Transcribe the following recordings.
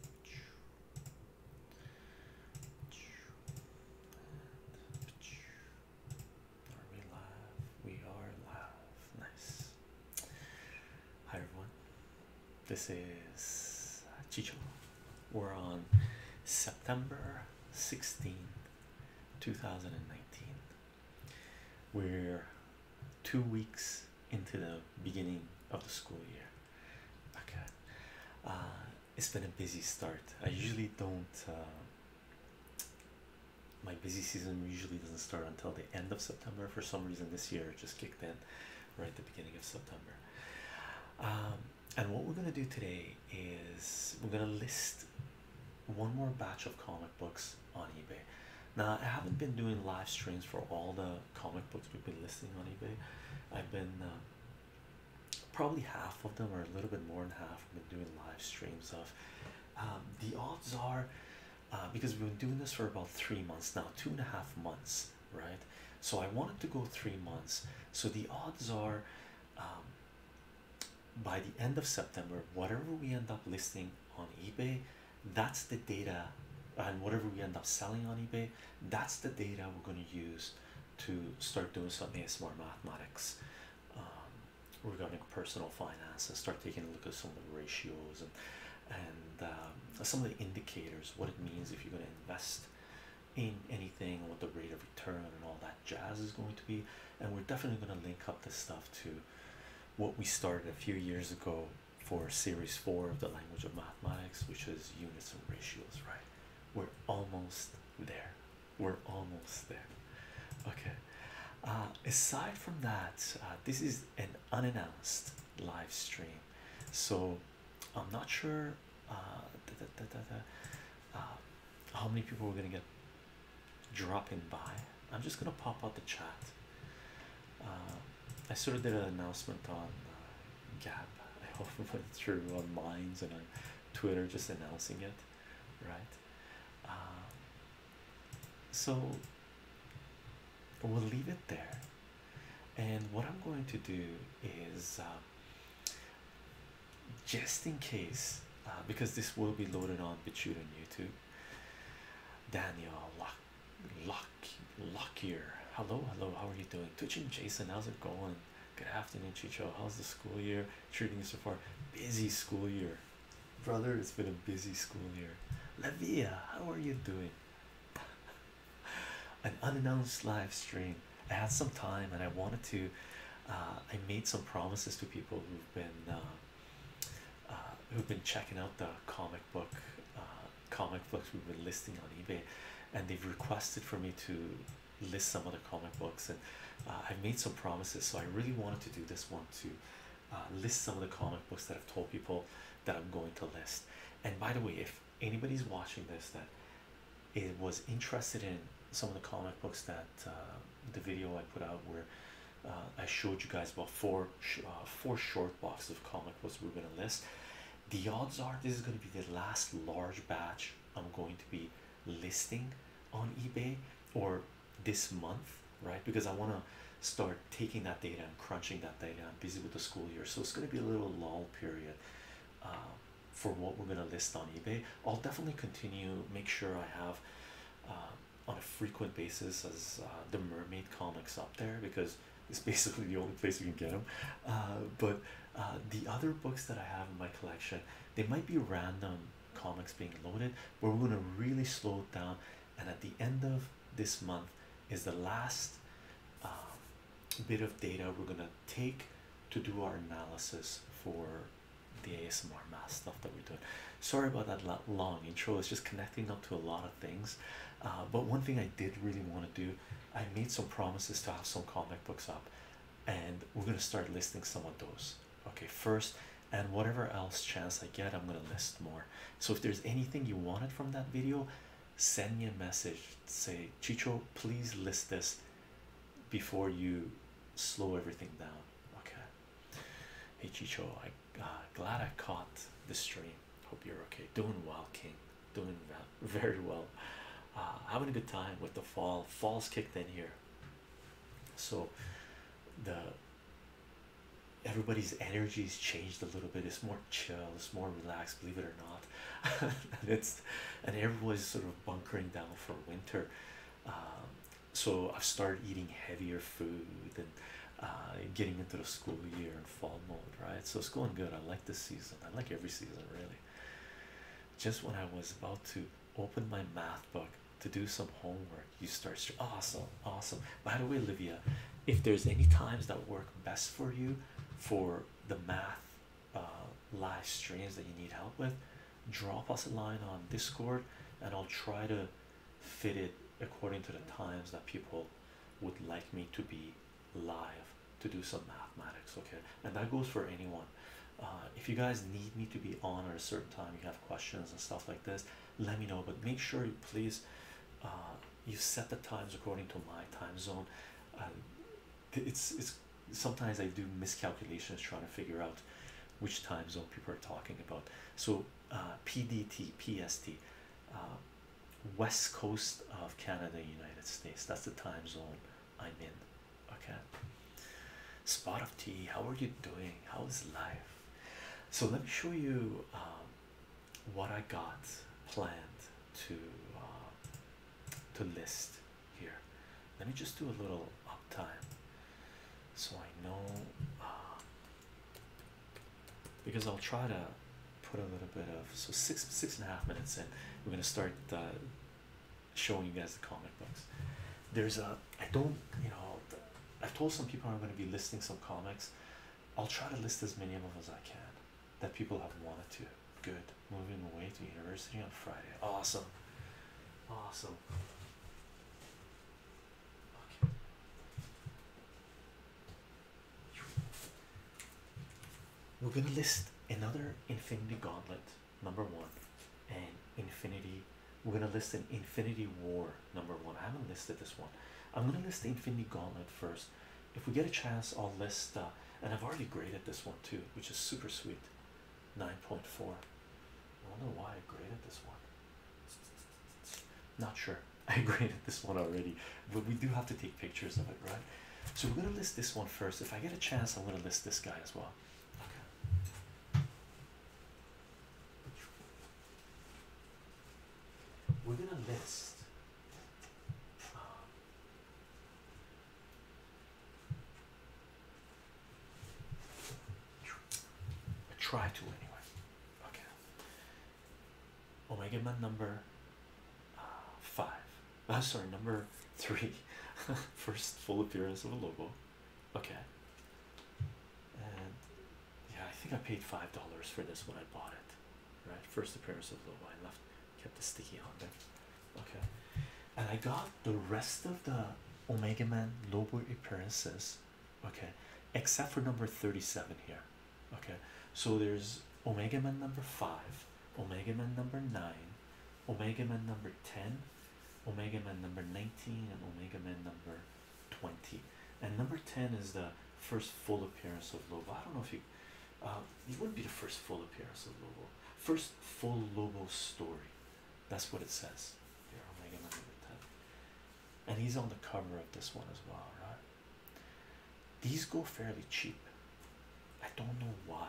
Are live? We are live. Nice. Hi everyone. This is Chicho. We're on September 16, 2019. We're two weeks into the beginning of the school year. Okay, uh, it's been a busy start. I usually don't. Uh, my busy season usually doesn't start until the end of September. For some reason, this year it just kicked in right at the beginning of September. Um, and what we're gonna do today is we're gonna list one more batch of comic books on eBay. Now I haven't been doing live streams for all the comic books we've been listing on eBay. I've been uh, probably half of them, or a little bit more than half, I've been doing live streams of. Um, the odds are, uh, because we've been doing this for about three months now, two and a half months, right? So I wanted to go three months. So the odds are, um, by the end of September, whatever we end up listing on eBay, that's the data, and whatever we end up selling on eBay, that's the data we're going to use to start doing some smart mathematics um, regarding personal finances. start taking a look at some of the ratios and and um, some of the indicators what it means if you're going to invest in anything what the rate of return and all that jazz is going to be and we're definitely going to link up the stuff to what we started a few years ago for series four of the language of mathematics, which is units and ratios, right? We're almost there. We're almost there. Okay. Uh, aside from that, uh, this is an unannounced live stream, so I'm not sure uh, uh how many people are gonna get dropping by. I'm just gonna pop out the chat. Uh, I sort of did an announcement on uh, Gap. I put it through on Minds and on Twitter, just announcing it, right? Um, so we'll leave it there. And what I'm going to do is um, just in case, uh, because this will be loaded on BitChute and YouTube. Daniel Lock, Lock Luckier. Hello, hello, how are you doing? Twitching Jason, how's it going? Good afternoon, Chicho. How's the school year treating you so far? Busy school year. Brother, it's been a busy school year. Lavia, how are you doing? An unannounced live stream. I had some time and I wanted to. Uh, I made some promises to people who've been uh, uh, who've been checking out the comic book comic books we have been listing on eBay, and they've requested for me to list some of the comic books, and uh, I've made some promises. So I really wanted to do this one to uh, list some of the comic books that I've told people that I'm going to list. And by the way, if anybody's watching this that it was interested in some of the comic books that uh, the video I put out where I showed you guys about four four short boxes of comic books we have been gonna the odds are this is going to be the last large batch I'm going to be listing on eBay or this month, right? Because I want to start taking that data and crunching that data. I'm busy with the school year, so it's going to be a little lull period uh, for what we're going to list on eBay. I'll definitely continue, make sure I have uh, on a frequent basis as uh, the mermaid comics up there because It's basically the only place you can get them. Uh, but uh, the other books that I have in my collection, they might be random comics being loaded, but we're gonna really slow down. And at the end of this month is the last um, bit of data we're gonna take to do our analysis for the ASMR math stuff that we are doing. Sorry about that long intro. It's just connecting up to a lot of things. Uh, but one thing I did really want to do I made some promises to have some comic books up, and we're gonna start listing some of those. Okay, first, and whatever else chance I get, I'm gonna list more. So if there's anything you wanted from that video, send me a message. Say, Chicho, please list this before you slow everything down. Okay. Hey Chicho, I uh, glad I caught the stream. Hope you're okay. Doing well, King doing very well. Uh, having a good time with the fall. Fall's kicked in here, so the everybody's energy's changed a little bit. It's more chill. It's more relaxed. Believe it or not, and it's and everybody's sort of bunkering down for winter. Um, so I've started eating heavier food and uh, getting into the school year and fall mode, right? So it's going good. I like this season. I like every season really. Just when I was about to open my math book to do some homework, you start. Awesome, awesome. By the way, Olivia, if there's any times that work best for you for the math uh, live streams that you need help with, drop us a line on Discord, and I'll try to fit it according to the times that people would like me to be live to do some mathematics okay and that goes for anyone uh, if you guys need me to be on at a certain time you have questions and stuff like this let me know but make sure you please uh, you set the times according to my time zone it's it's sometimes I do miscalculations trying to figure out which time zone people are talking about so uh, PDT PST west coast of Canada United States that's the time zone I'm in. Okay. Spot of tea. How are you doing? How is life? So let me show you um, what I got planned to um, to list here. Let me just do a little up time, so I know um, because I'll try to put a little bit of so six six and a half minutes in. We're gonna start uh, showing you guys the comic books. There's a I don't you know I've told some people I'm going to be listing some comics. I'll try to list as many of them as I can that people have wanted to. Good. Moving away to university on Friday. Awesome. Awesome we're gonna list another Infinity Gauntlet number one and Infinity. We're gonna list an Infinity War number one. I haven't listed this one. I'm gonna list the Infinity Gauntlet first. If we get a chance, I'll list uh, and I've already graded this one too, which is super sweet. 9.4. I wonder why I graded this one. Not sure. I graded this one already, but we do have to take pictures of it, right? So we're gonna list this one first. If I get a chance, I'm gonna list this guy as well. We're gonna list. Um, try to anyway. Okay. Omega my number uh, five. Uh, sorry, number three, first full appearance of a logo. Okay. And yeah, I think I paid five dollars for this when I bought it. Right, first appearance of logo. I left, kept the sticky on there. Okay, and I got the rest of the Omega Man logo appearances. Okay, except for number thirty-seven here. Okay, so there's Omega Man number five, Omega Man number 9, Omega Man number 10, Omega Man number 19, and Omega Man number 20. And number 10 is the first full appearance of Lobo. I don't know if you, uh, it wouldn't be the first full appearance of Lobo, first full Lobo story. That's what it says here, Omega Man number 10. And he's on the cover of this one as well, right? These go fairly cheap. I don't know why.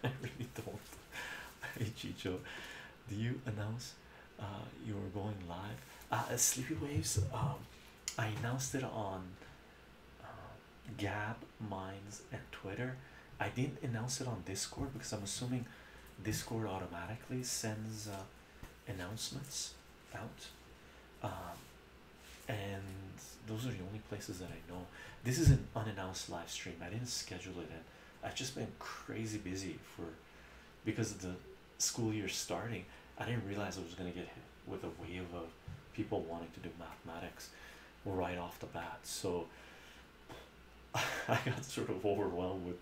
I really don't. Hey Chicho, do you announce uh, you were going live? Uh, Sleepy Waves, um, I announced it on uh, Gap Minds, and Twitter. I didn't announce it on Discord because I'm assuming Discord automatically sends uh, announcements out. Um, and those are the only places that I know. This is an unannounced live stream. I didn't schedule it and I've just been crazy busy for because of the school year starting. I didn't realize I was gonna get hit with a wave of people wanting to do mathematics right off the bat. So I got sort of overwhelmed with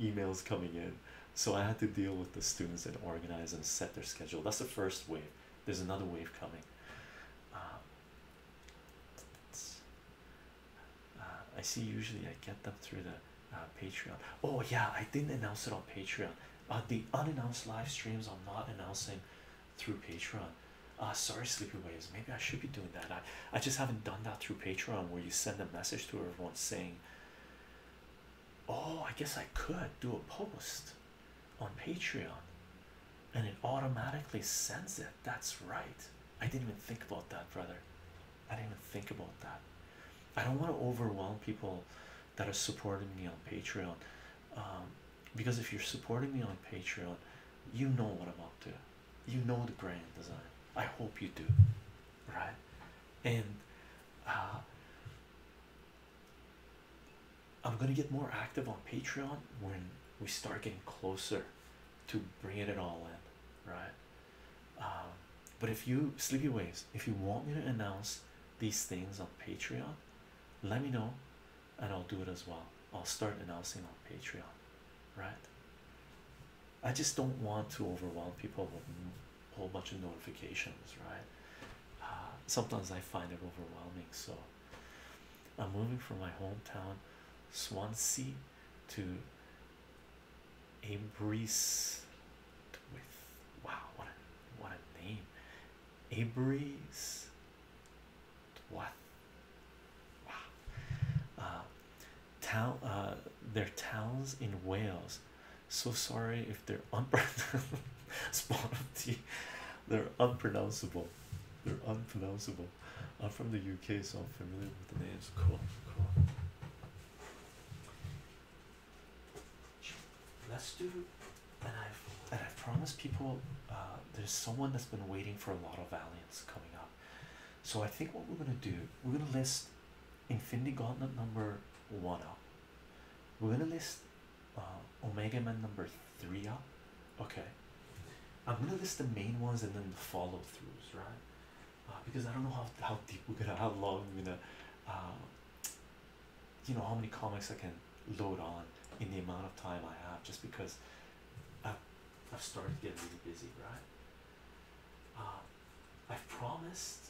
emails coming in. So I had to deal with the students and organize and set their schedule. That's the first wave. There's another wave coming. Um, uh, I see usually I get them through the uh, Patreon. Oh, yeah, I didn't announce it on Patreon. Uh, the unannounced live streams, I'm not announcing through Patreon. Uh, sorry, Sleepy Waves. Maybe I should be doing that. I, I just haven't done that through Patreon where you send a message to everyone saying, Oh, I guess I could do a post on Patreon and it automatically sends it. That's right. I didn't even think about that, brother. I didn't even think about that. I don't want to overwhelm people that are supporting me on Patreon um, because if you're supporting me on Patreon, you know what I'm up to. You know the brand design. I hope you do, right? And uh, I'm gonna get more active on Patreon when we start getting closer to bringing it all in, right? Um, but if you sleepy waves, if you want me to announce these things on Patreon, let me know and I'll do it as well. I'll start announcing on Patreon, right? I just don't want to overwhelm people with a whole bunch of notifications, right? Uh, sometimes I find it overwhelming, so I'm moving from my hometown Swansea to Ambrose with wow what a what a name Ambrose what wow uh, town uh their towns in Wales so sorry if they're unpronounceable They're unpronounceable. They're unpronounceable. I'm from the UK, so I'm familiar with the names. Cool, cool. Let's do, and I've and I promise people, uh, there's someone that's been waiting for a lot of Valiants coming up. So I think what we're gonna do, we're gonna list Infinity Gauntlet number one up. We're gonna list uh, Omega Man number three up. Okay, I'm gonna list the main ones and then the follow throughs, right? Uh, because I don't know how how deep we're gonna how long we're gonna, uh, you know, how many comics I can load on in the amount of time I have, just because I've I've started getting really busy, right? Uh, I've promised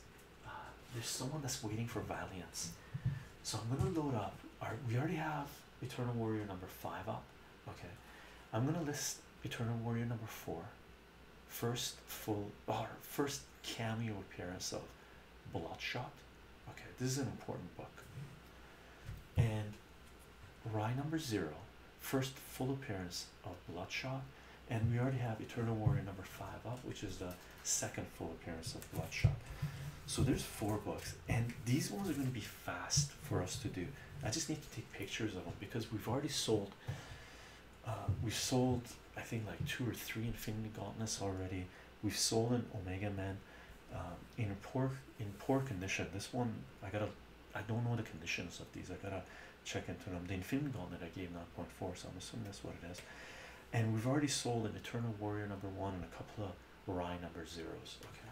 uh, there's someone that's waiting for Valiance, so I'm gonna load up. Our, we already have Eternal Warrior number five up. Okay, I'm gonna list Eternal Warrior number four, first full or first cameo appearance of Bloodshot. Okay, this is an important book, and Rye number zero, first full appearance of Bloodshot, and we already have Eternal Warrior number five up, which is the second full appearance of Bloodshot. So there's four books and these ones are going to be fast for us to do. I just need to take pictures of them because we've already sold. Uh, we've sold, I think, like two or three Infinity Gauntlets already. We've sold an Omega Man um, in poor in poor condition. This one, I gotta, I don't know the conditions of these. I gotta check into them. The Infinity Gauntlet I gave 9.4, so I'm assuming that's what it is. And we've already sold an Eternal Warrior number one and a couple of Rye number zeros. Okay,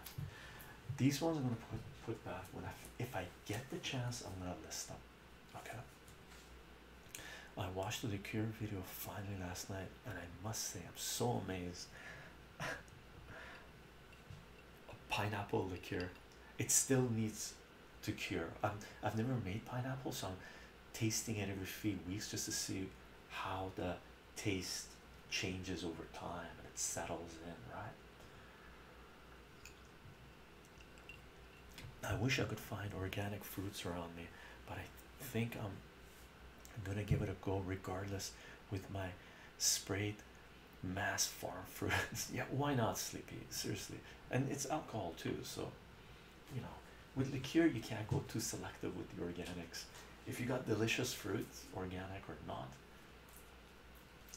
these ones I'm gonna put put back when I if I get the chance I'm gonna list them. Okay. I watched the Cure video finally last night, and I must say I'm so amazed. pineapple liqueur it still needs to cure I'm, i've never made pineapple so i'm tasting it every few weeks just to see how the taste changes over time and it settles in, right? I wish I could find organic fruits around me, but I think I'm gonna give it a go regardless with my sprayed mass farm fruits. yeah, why not, Sleepy? Seriously, and it's alcohol too, so you know, with liqueur, you can't go too selective with the organics if you got delicious fruit, organic or not,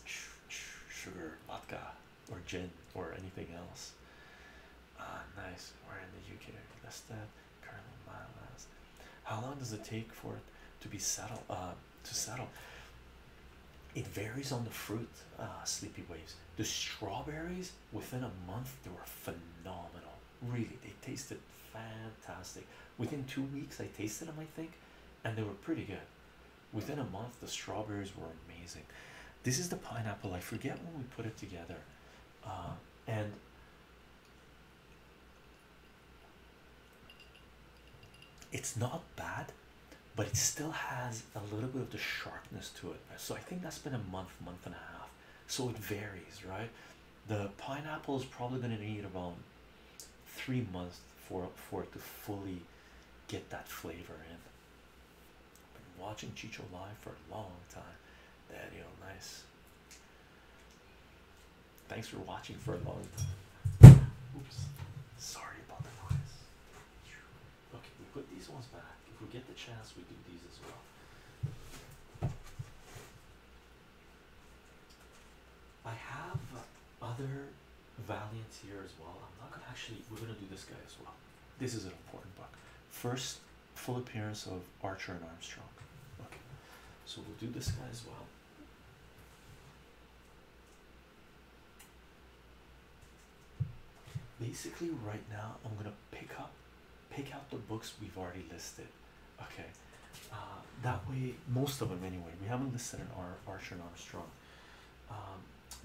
sugar, vodka, or gin, or anything else. Ah, nice. We're in the UK. That's that. How long does it take for it to be settled? Uh, to settle, it varies on the fruit. Uh, sleepy waves. The strawberries within a month they were phenomenal really they tasted fantastic within two weeks i tasted them i think and they were pretty good within a month the strawberries were amazing this is the pineapple i forget when we put it together um, and it's not bad but it still has a little bit of the sharpness to it so i think that's been a month month and a half so it varies right the pineapple is probably going to need about three months for for it to fully get that flavor in. Been watching Chicho live for a long time. That nice. Thanks for watching for a long time. Oops, sorry about the noise. Okay, we put these ones back. If we get the chance, we do these as well. I have other Valiants here as well. I'm not gonna actually, we're gonna do this guy as well. This is an important book. First full appearance of Archer and Armstrong. Okay, so we'll do this guy as well. Basically, right now, I'm gonna pick up pick out the books we've already listed okay uh, that way most of them anyway we haven't listed an Ar archer and armstrong um,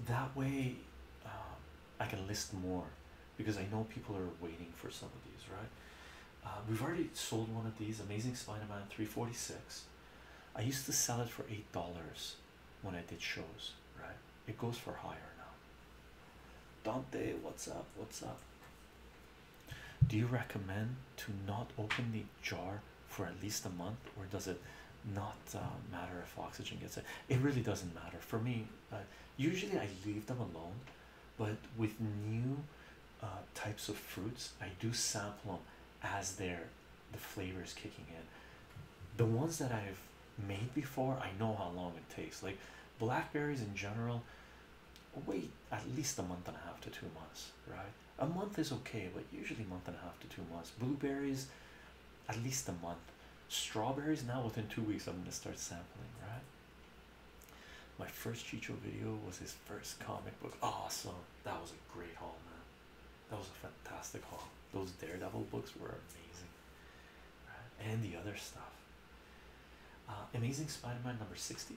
that way uh, i can list more because i know people are waiting for some of these right uh, we've already sold one of these amazing spider-man 346 i used to sell it for eight dollars when i did shows right it goes for higher now dante what's up what's up do you recommend to not open the jar for at least a month, or does it not uh, matter if oxygen gets it? It really doesn't matter for me. Uh, usually, I leave them alone, but with new uh, types of fruits, I do sample them as they're the flavors kicking in. The ones that I've made before, I know how long it takes. Like blackberries in general, wait at least a month and a half to two months, right? A month is okay, but usually month and a half to two months. Blueberries, at least a month. Strawberries now within two weeks, I'm gonna start sampling, right? My first Chicho video was his first comic book. Awesome. That was a great haul, man. That was a fantastic haul. Those Daredevil books were amazing. Right? And the other stuff. Uh, amazing Spider-Man number 60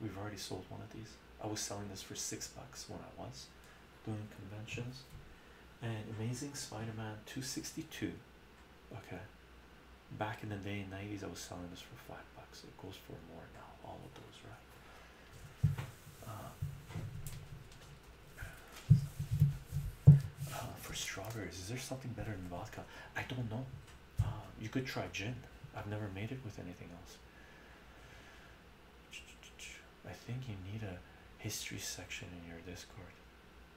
We've already sold one of these. I was selling this for six bucks when I was doing conventions. And Amazing Spider-Man 262. Okay. Back in the day, 90s, I was selling this for five bucks. It goes for more now. All of those, right? Uh, for strawberries, is there something better than vodka? I don't know. Um, you could try gin. I've never made it with anything else. I think you need a history section in your Discord.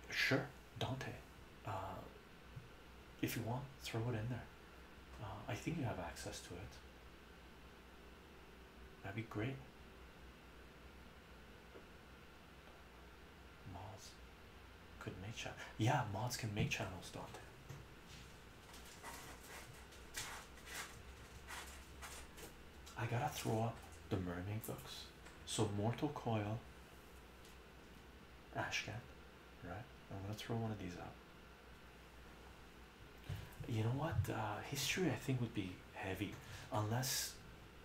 Sure, Dante. Uh, if you want, throw it in there. Uh, I think you have access to it. That'd be great. Mods could make chat. Yeah, mods can make channels, Dante. I gotta throw up the mermaid books. So Mortal Coil, Ashcat, right? I'm gonna throw one of these out. You know what? Uh, history I think would be heavy, unless,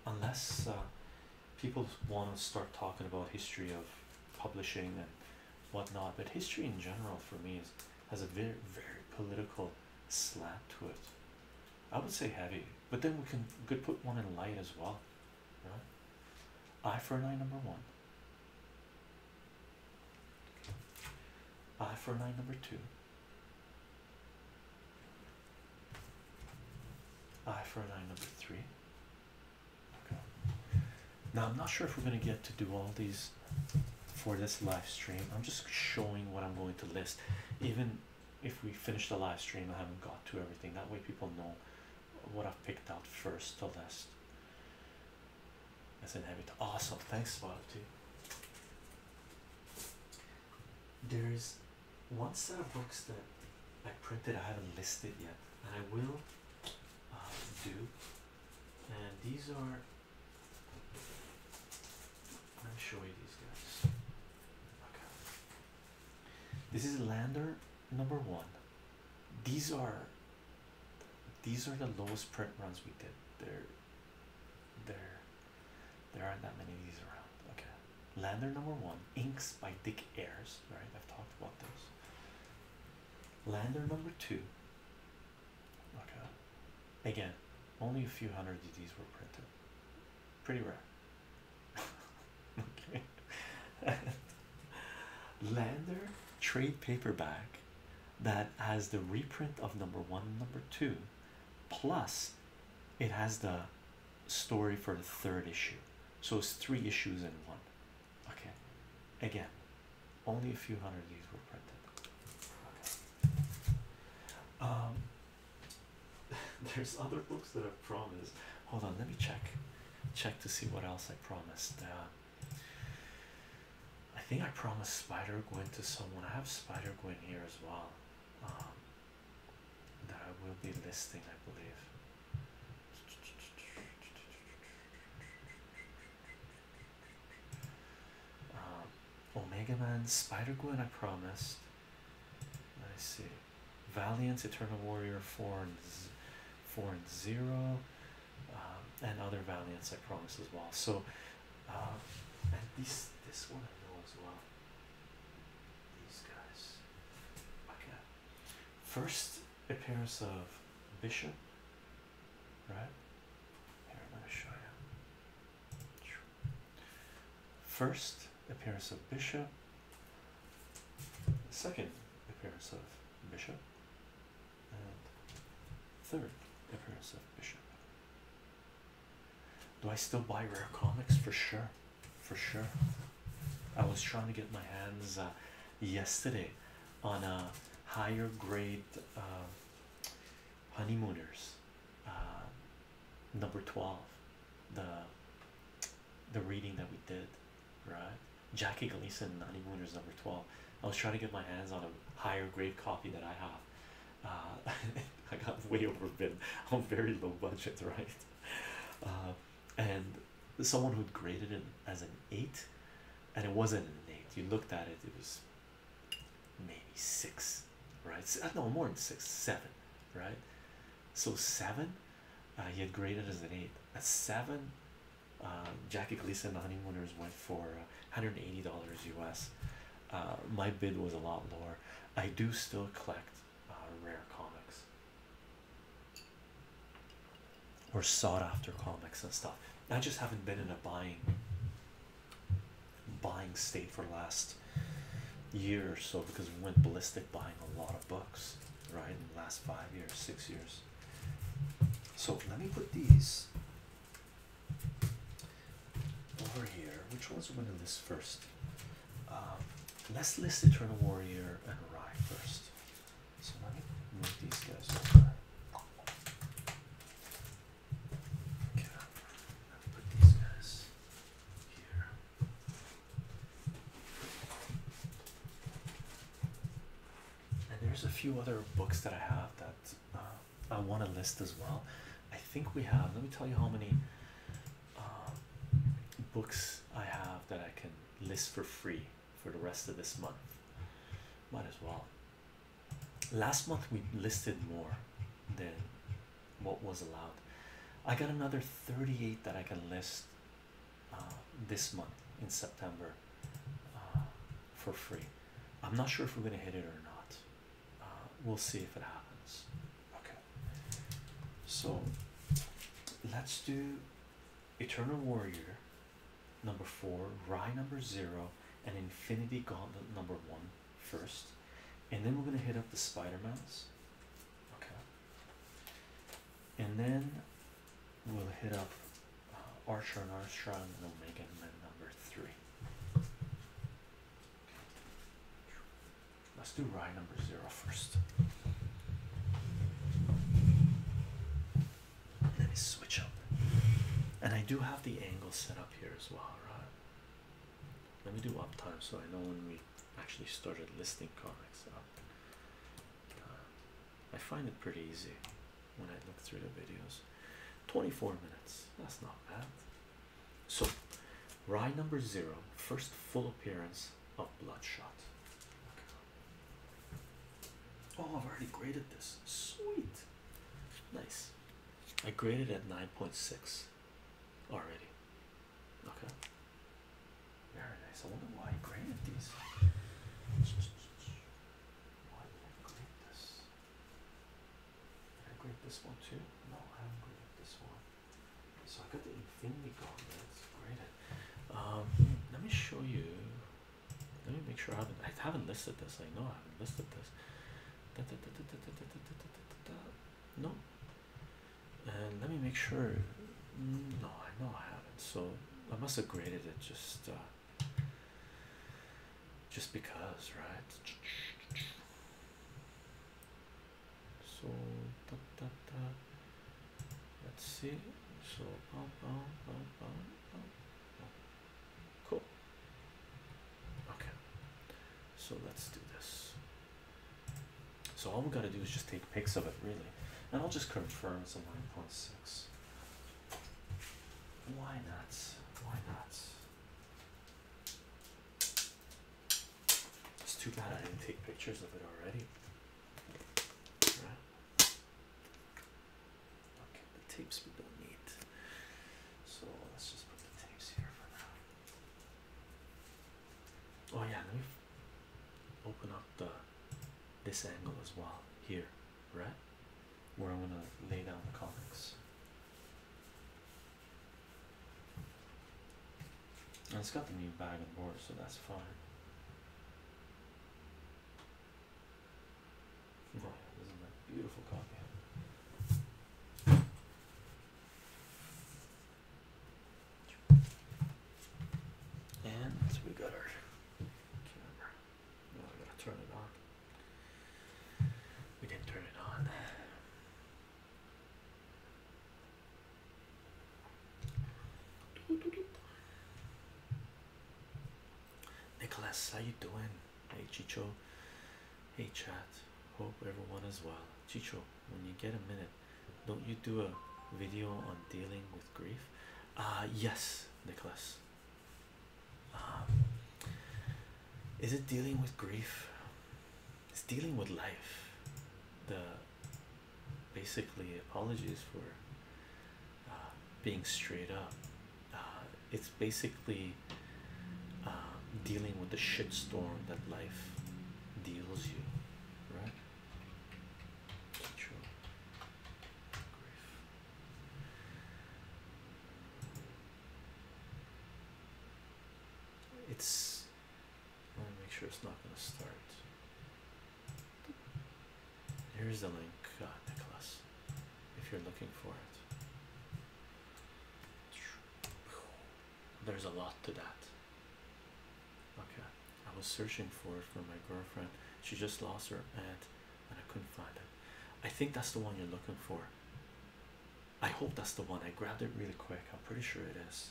unless uh, people want to start talking about history of publishing and whatnot. But history in general for me is has a very very political slant to it. I would say heavy, but then we can could put one in light as well. Right? Eye for an eye number one. I for an eye number two. I for an eye number three. Now, I'm not sure if we're going to get to do all these for this live stream. I'm just showing what I'm going to list. Even if we finish the live stream, I haven't got to everything. That way, people know what I've picked out first to list. As an habit. Awesome. Thanks, a lot, Spotify. There's one set of books that I printed I haven't listed yet, and I will uh, do and these are let me show you these guys okay this is lander number one these are these are the lowest print runs we did there there there aren't that many of these around okay lander number one inks by dick Ayers. right i've talked about those lander number two Okay. Again, only a few hundred of these were printed. Pretty rare. okay. Lander trade paperback that has the reprint of number one number two, plus it has the story for the third issue. So it's three issues in one. Okay, again, only a few hundred of these were printed. Um, there's other books that I promised. Hold on, let me check, check to see what else I promised. Uh, I think I promised Spider Gwen to someone. I have Spider Gwen here as well. Um, that I will be listing, I believe. Um, Omega Man, Spider Gwen, I promised. I see. Valiant, Eternal Warrior, four and four and zero, um, and other Valiants, I promise as well. So, um, this this one I know as well. These guys. Okay. First appearance of Bishop right? Here I'm going to show you. First appearance of Bishop, second appearance of Bishop, third appearance of Bishop. Do I still buy rare comics? For sure. For sure. I was trying to get my hands uh, yesterday on a higher grade um, honeymooners uh, number 12 the the reading that we did right Jackie Gleason honeymooners number 12 I was trying to get my hands on a higher grade copy that I have uh, I got way overbid on very low budget right uh, and someone who graded it as an eight and it wasn't an eight. You looked at it, it was maybe six, right? No, more than six, seven, right? So seven, uh, he had graded as an eight. A seven, uh, Jackie Gleason the Honeymooners went for $180 uh, US. Uh, my bid was a lot lower. I do still collect uh, rare comics or sought after comics and stuff. I just haven't been in a buying buying state for the last year or so because we went ballistic buying a lot of books right in the last five years, six years. So let me put these over here. Which ones are we gonna list first? Um, let's list Eternal Warrior and Rye first. So let me move these guys over. Okay, let me put these guys here. And there's a few other books that I have that uh, I want to list as well. I think we have, let me tell you how many uh, books I have that I can list for free for the rest of this month. Might as well. Last month we listed more than what was allowed. I got another 38 that I can list uh, this month in September uh, for free. I'm not sure if we're going to hit it or not. Uh, we'll see if it happens. Okay. So let's do Eternal Warrior number four, Rye number zero, and Infinity Gauntlet number one first, and then we're gonna hit up the Spider Mans, okay, and then we'll hit up uh, Archer and Armstrong and make Men number three. Let's do Rye number zero first. Let me switch up. And I do have the angle set up here as well, right? Let me do uptime so I know when we actually started listing comics uh, I find it pretty easy when I look through the videos. 24 minutes, that's not bad. So, ride number zero, first full appearance of Bloodshot. Oh, I've already graded this. Sweet. Nice. I graded at 9.6 already. Okay. Very nice. I wonder why I graded these. Why did I grade this? Did I grade this one too? No, I haven't graded this one. So I got the infinity gauntlet graded. Um, let me show you let me make sure I haven't listed this. I know I haven't listed this. No. And let me make sure. No, I know I haven't. So I must have graded it just just because, right? So da, da, da. let's see. So bum, bum, bum, bum, bum. Cool. Okay. So let's do this. So all we gotta do is just take pics of it, really. And I'll just confirm it's a 9.6. Why not? Why not? It's too bad I didn't take pictures of it already. Okay, the tapes we don't need. So let's just put the tapes here for now. Oh yeah, let me open up the this angle as well here, right? Where I'm gonna lay down the comics. And it's got the new bag and board, so that's fine this is a beautiful copy. And we got our camera. Now I going to turn it on. We didn't turn it on. Nicholas, how you doing? Hey Chicho. Hey chat. Hope everyone is well. Chicho, when you get a minute, don't you do a video on dealing with grief? Uh yes, Nicholas. Um, is it dealing with grief? It's dealing with life. The basically apologies for uh, being straight up. Uh, it's basically uh, dealing with the shitstorm that life deals you, right? True. It's. I want to make sure it's not going to start. Here's the link, uh, Nicholas if you're looking for it. There's a lot to that. Okay, I was searching for it for my girlfriend. She just lost her aunt and I couldn't find it. I think that's the one you're looking for. I hope that's the one. I grabbed it really quick. I'm pretty sure it is.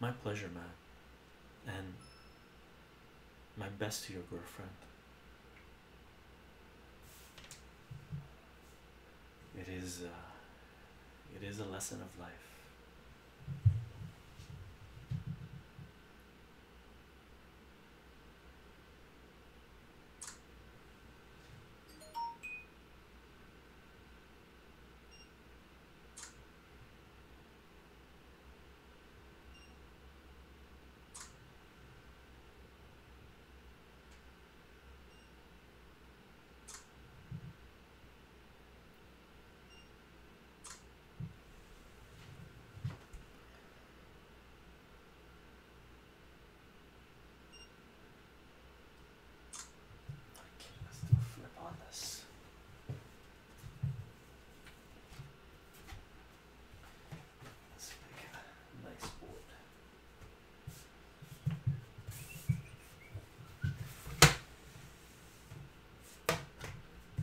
My pleasure, man. And my best to your girlfriend. It is uh, it is a lesson of life. I can flip on this. Let's make a nice board. Let's put these guys here. There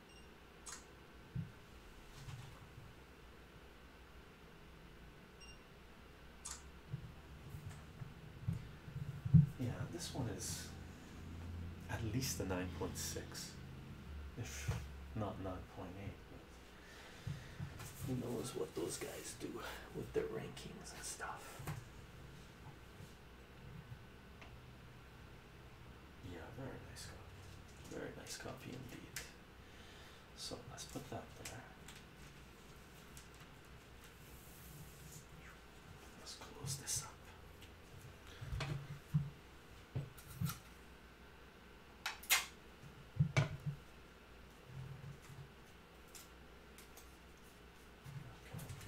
Yeah, this one is at least a 9.6, if not 9.8. Who knows what those guys do with their rankings and stuff? Yeah, very nice copy. Very nice copy indeed. So let's put that there. Let's close this up.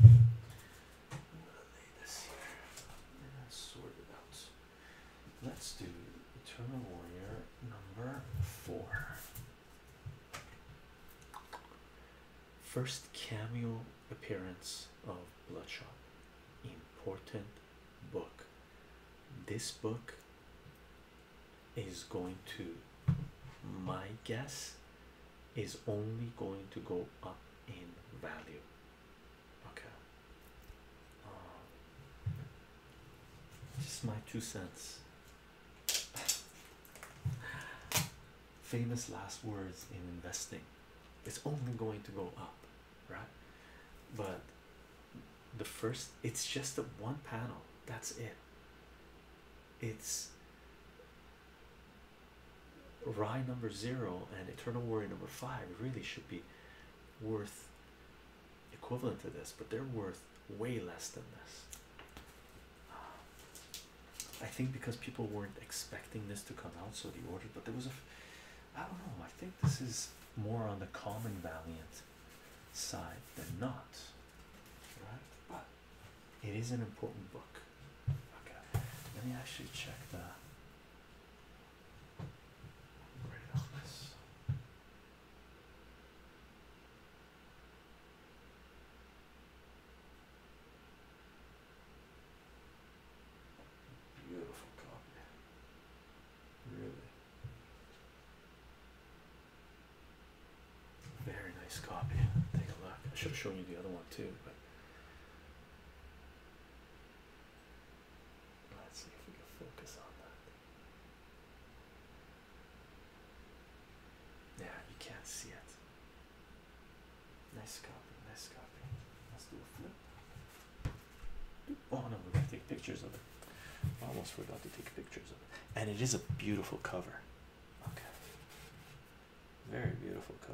I'm gonna lay this here and sort it out. Let's do Eternal Warrior number four. First cameo appearance of Bloodshot. Important book. This book is going to, my guess, is only going to go up in value. Okay. Um, just my two cents. Famous last words in investing. It's only going to go up, right? But the first, it's just a one panel. That's it. It's Rye number zero and eternal worry number five really should be worth equivalent to this, but they're worth way less than this. I think because people weren't expecting this to come out, so the order. But there was a, I don't know. I think this is more on the common valiant side than not, right? But it is an important book. Okay, let me actually check that. Beautiful copy. Really. Very nice copy. Take a look. I should have shown you the other one too, but Let's see if we can focus on that. Yeah, you can't see it. Nice copy, nice copy. Let's do a flip. Oh no, we're gonna take pictures of it. almost forgot to take pictures of it. And it is a beautiful cover. Okay. Very beautiful cover.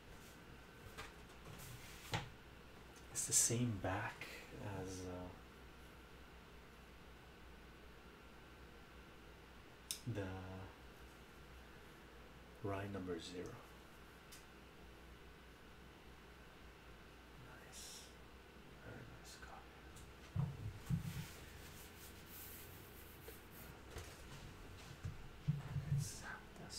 It's the same back as uh, the ride number zero. Nice, very nice copy. Let's have this.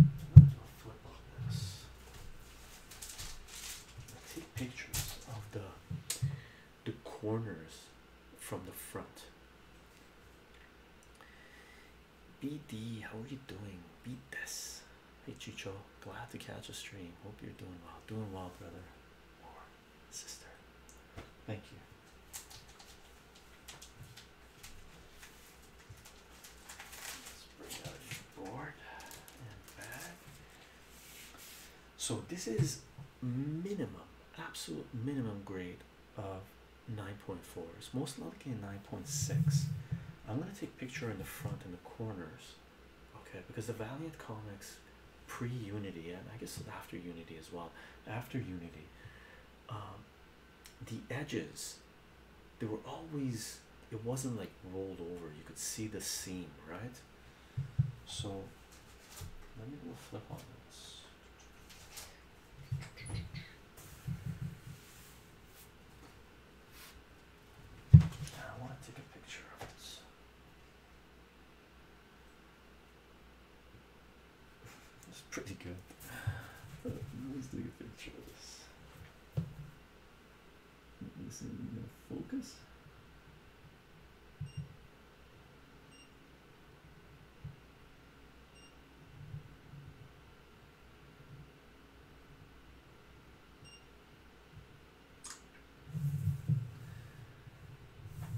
I take pictures of the the corners from the front. BD, how are you doing? BD, this. Hey Chicho, glad to catch a stream. Hope you're doing well. Doing well, brother or sister. Thank you. So this is minimum, absolute minimum grade of 9.4. It's most likely 9.6. I'm gonna take picture in the front and the corners, okay? Because the Valiant comics pre-Unity and I guess after Unity as well. After Unity, um, the edges they were always it wasn't like rolled over you could see the seam right so let me go flip on this I want to take a picture of this that's pretty good. let me see if we can focus.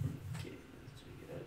Okay, let's check it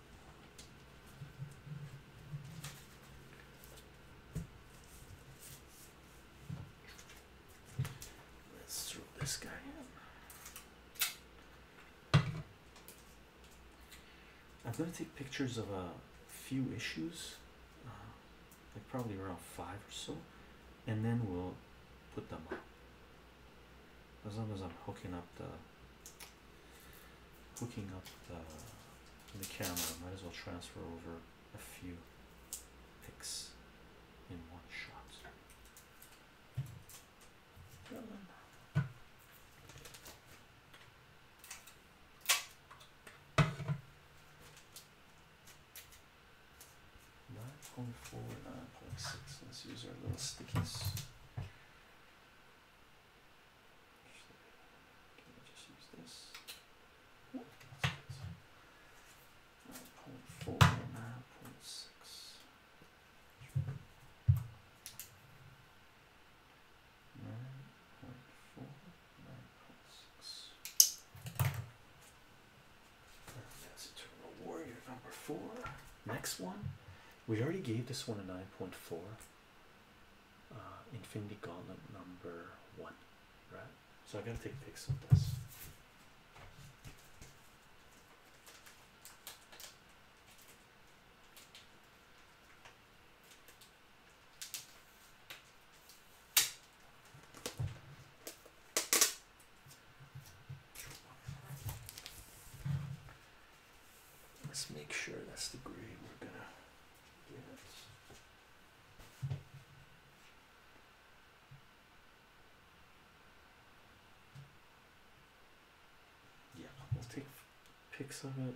Let's throw this guy in. I'm going to take pictures of a few issues, uh, like probably around five or so, and then we'll put them up. As long as I'm hooking up the hooking up the, camera. Might as well transfer over a few pics in one shot. Nine point four, nine point six. Let's use our little stickies. Actually, can I just use this? Nope, that's it. 9.4 now, 0.6. Nine point four, nine point six. That's Eternal Warrior number four. Next one, we already gave this one a nine point four. Uh, Infinity Gauntlet number one, right? So I gotta take pics of this. Let's make sure that's the grade we're gonna yeah we'll take pics of it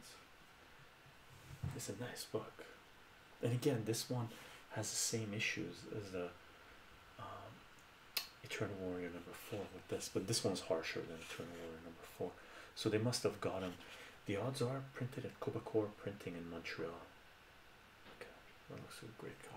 it's a nice book and again this one has the same issues as the um, eternal warrior number four with this but this one's harsher than eternal warrior number four so they must have gotten. The odds are printed at Quebecor Printing in Montreal. Okay, that looks a great copy.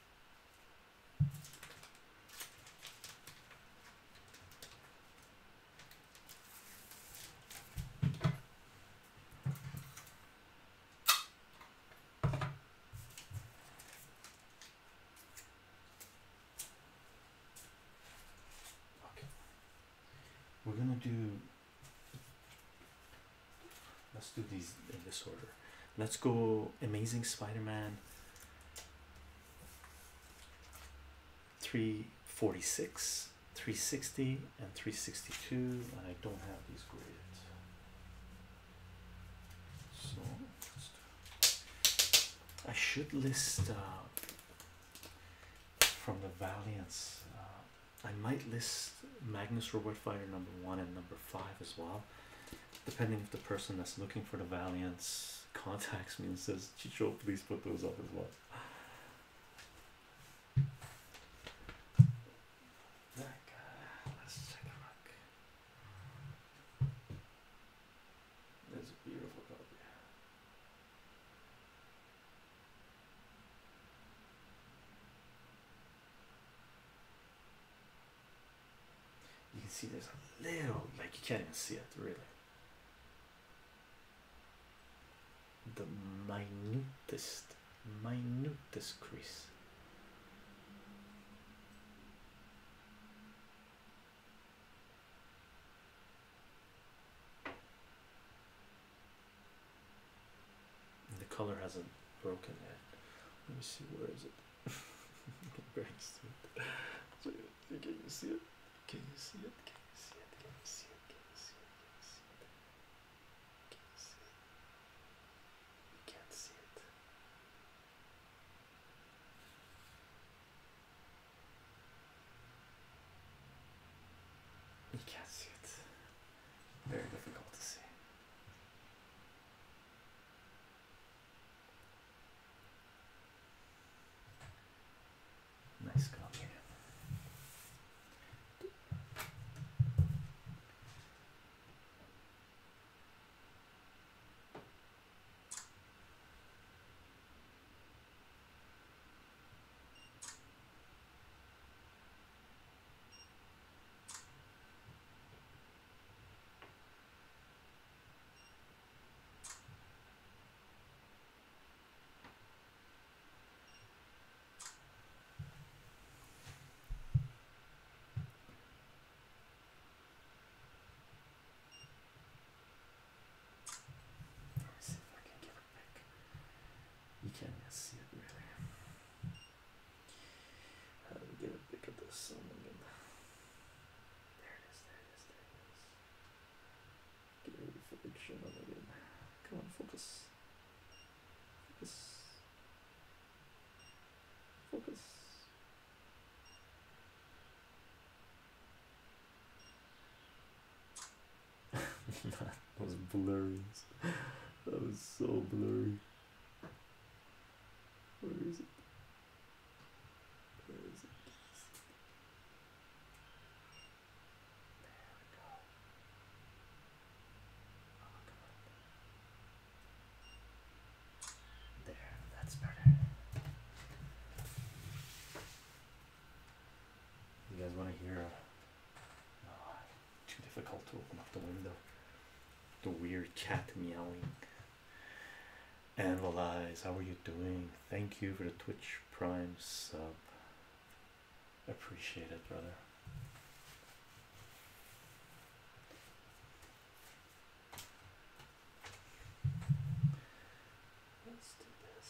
we're gonna do let's do these in this order let's go amazing spider-man 346 360 and 362 and i don't have these graded so I should list uh, from the Valiants. Uh, I might list Magnus Robot Fighter number one and number five as well depending if the person that's looking for the Valiance contacts me and says, Chicho, please put those up as well. Let's take a look. There's a beautiful copy. You can see there's a little, like you can't even see it really. The minutest, minutest crease. And the color hasn't broken yet. Let me see where is it? so you, can you see it? Can you see it? Can you see it? Can you see it? Can you see it? Can you see it? Can you see it? You can't see it. You can't see it. Very difficult to see. Nice copy. Let's see if I can give it back. You can't see it really. I'm gonna get a pic of this? There it is, there it is, there it is. Get rid of footage and again. Come on, focus. Focus. Focus. that was blurry. That was so blurry. Where is it? Where is it? There we go. Oh, there, that's better. You guys want to hear? A, uh, too difficult to open up the window the weird cat meowing. Analyze, how are you doing? Thank you for the Twitch Prime sub. Appreciate it, brother. Let's do this.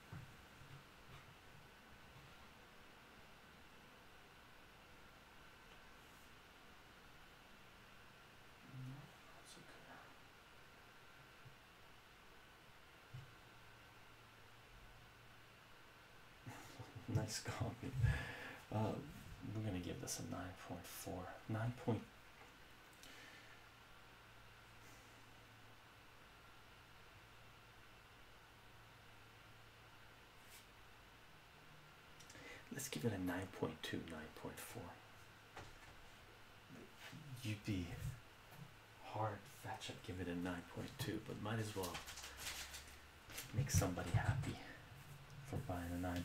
nice copy. Uh, we're gonna give this a 9.4, 9.4 Let's give it a 9.2, 9.4. You'd be hard fetch up, give it a 9.2, but might as well make somebody happy for buying a 9.2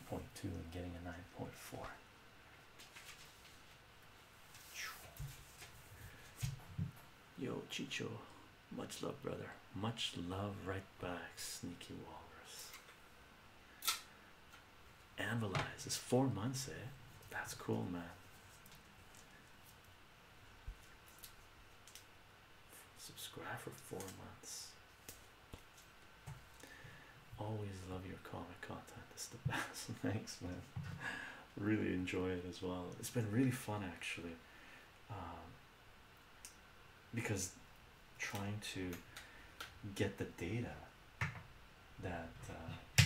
and getting a 9.4. Yo, Chicho, much love, brother. Much love, right back, sneaky walrus. Anvilized is four months, eh? That's cool, man. Subscribe for four months. Always love your comic content. It's the best. Thanks, man really enjoy it as well. It's been really fun actually, um, because trying to get the data that uh,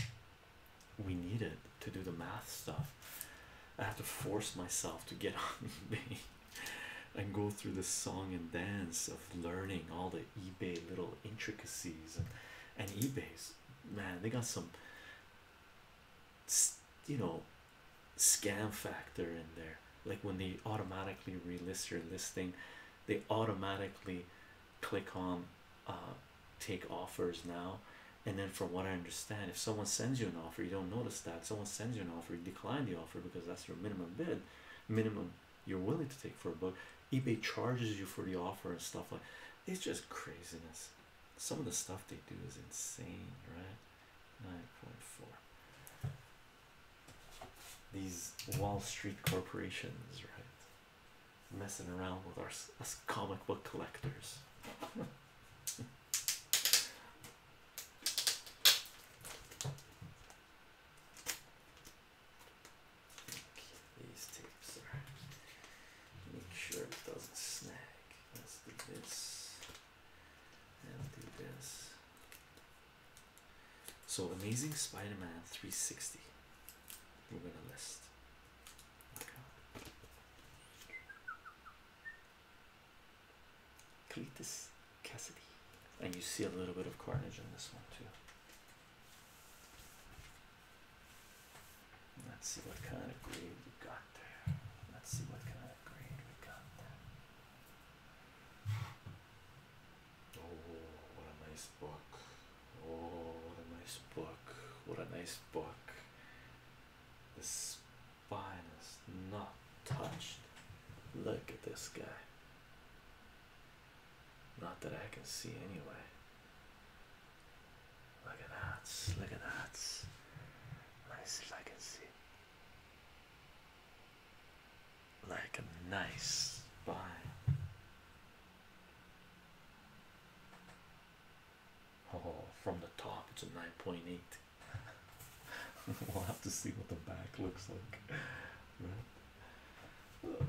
we needed to do the math stuff. I have to force myself to get on eBay and go through the song and dance of learning all the eBay little intricacies and, and eBay's man, they got some you know scam factor in there. Like when they automatically relist your listing, they automatically click on uh, take offers now. And then, from what I understand, if someone sends you an offer, you don't notice that someone sends you an offer, you decline the offer because that's your minimum bid, minimum you're willing to take for a book. eBay charges you for the offer and stuff like it's just craziness some of the stuff they do is insane, right? 9.4. These Wall Street corporations, right? Messing around with our us comic book collectors. These tapes are make sure it doesn't snag. Let's do this and do this. So Amazing Spider-Man 360. We're gonna list. Okay. Cletus Cassidy. And you see a little bit of carnage on this one too. Let's see what kind of grade we got there. Let's see what kind of grade we got there. Oh, what a nice book. Oh, what a nice book. What a nice book. The spine is not touched. Look at this guy. Not that I can see, anyway. Look at that. Look at that. Let me see if I can see. Like a nice buy. Oh, from the top it's a 9.8. we'll have to see what the back looks like. Right? Oh, let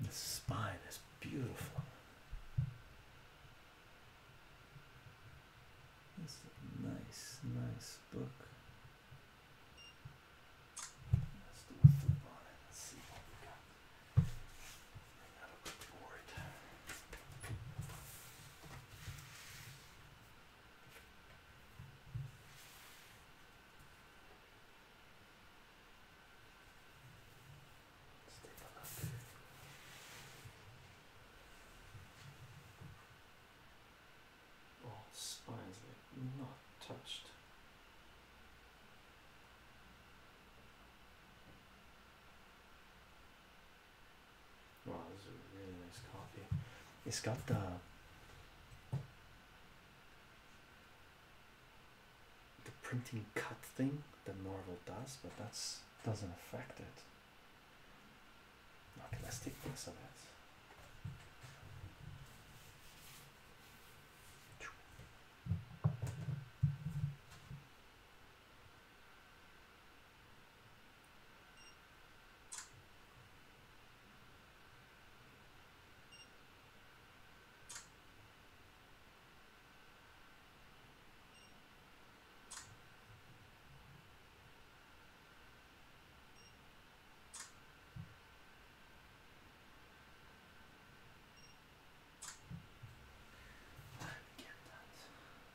The spine is beautiful. This is a nice, nice book. Let's do a flip on it. let see what we got. Bring out a good board. Oh, spines like not touched. Wow, this is a really nice copy. It's got the the printing cut thing that Marvel does, but that's doesn't affect it. Okay, let's take this it. I get that.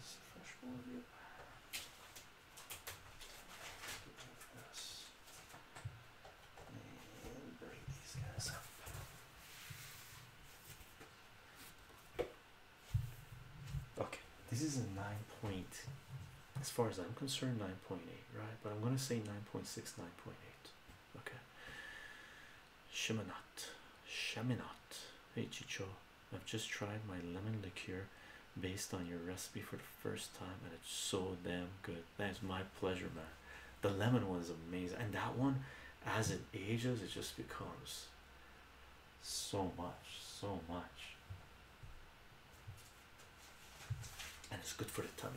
This is fresh one. Yep. And Okay, this is a nine point. As far as I'm concerned, nine point eight, right? But I'm gonna say nine point six, nine point eight. Okay. Sheminot. Sheminot. Hey I've just tried my lemon liqueur based on your recipe for the first time, and it's so damn good. That's my pleasure, man. The lemon one is amazing, and that one, as it ages, it just becomes so much, so much, and it's good for the tummy.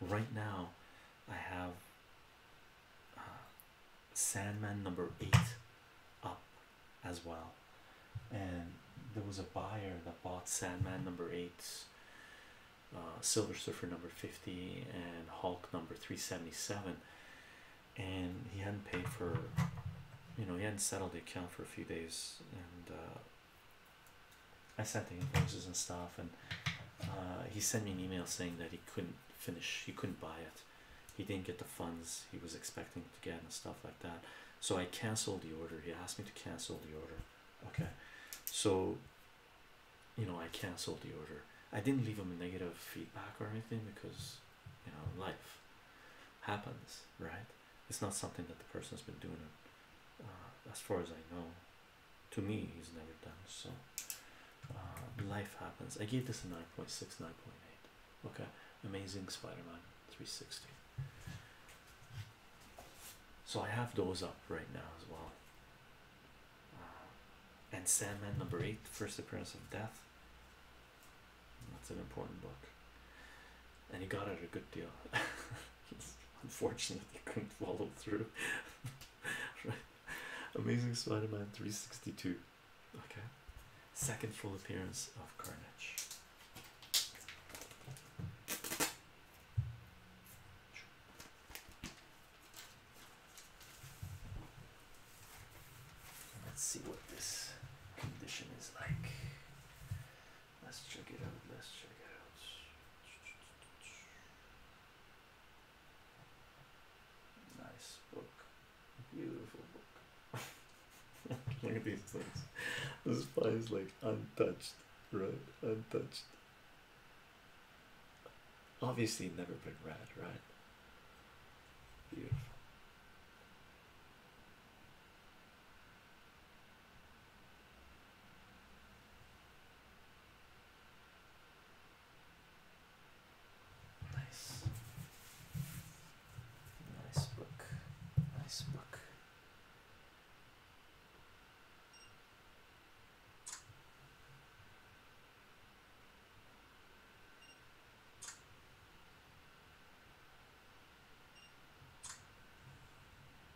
Right now, I have uh, Sandman number eight up as well, and there was a buyer that bought Sandman number eight, uh, Silver Surfer number 50, and Hulk number 377, and he hadn't paid for you know, he hadn't settled the account for a few days, and uh, I sent the invoices and stuff, and uh, he sent me an email saying that he couldn't finish, he couldn't buy it, he didn't get the funds he was expecting to get, and stuff like that. So I canceled the order. He asked me to cancel the order. Okay, so you know, I canceled the order. I didn't leave him negative feedback or anything because you know, life happens, right? It's not something that the person's been doing, uh, as far as I know, to me he's never done so uh, life happens i gave this a 9.6 9.8 okay amazing spider-man 360 so i have those up right now as well uh, and sandman number eight first appearance of death that's an important book and he got it a good deal Unfortunately, couldn't follow through. right. Amazing Spider-Man 362. Okay. Second full appearance of Carnage. Let's see what this condition is like. Let's check it out. Let's check it out. Nice book. Beautiful book. Look at these things. This file is like untouched, right? Untouched. Obviously, never been read, right? Beautiful. Nice. Nice book. Nice book.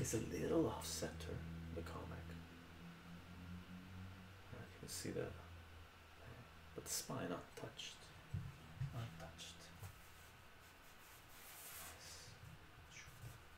it's a little off center, the comic. I can see that. But the spine untouched. Untouched. Nice.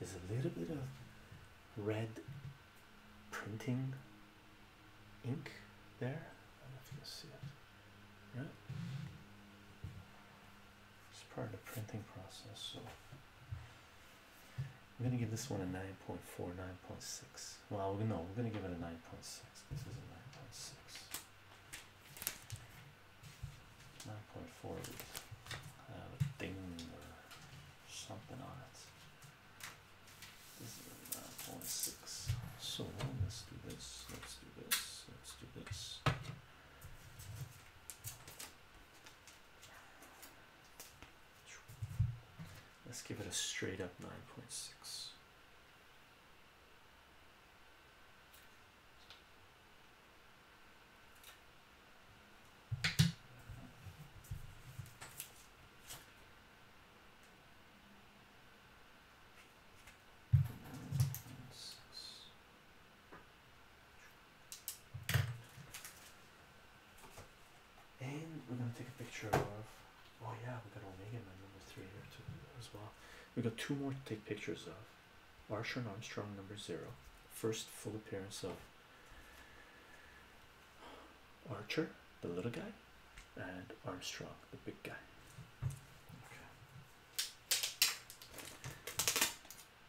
There's a little bit of red printing ink there. I don't know if you can see it. Right? It's part of the printing process. So I'm gonna give this one a 9.4, 9.6. Well no, we're gonna give it a 9.6. This is a 9.6. 9.4 uh, ding something on it. This is nine point six. So let's do this. Let's do this. Let's do this. Let's give it a straight up nine point six. And we're gonna take a picture of oh yeah we got Omega Man number three here too as well. We got two more to take pictures of. Arshon Armstrong number zero, first full appearance of Archer, the little guy, and Armstrong, the big guy.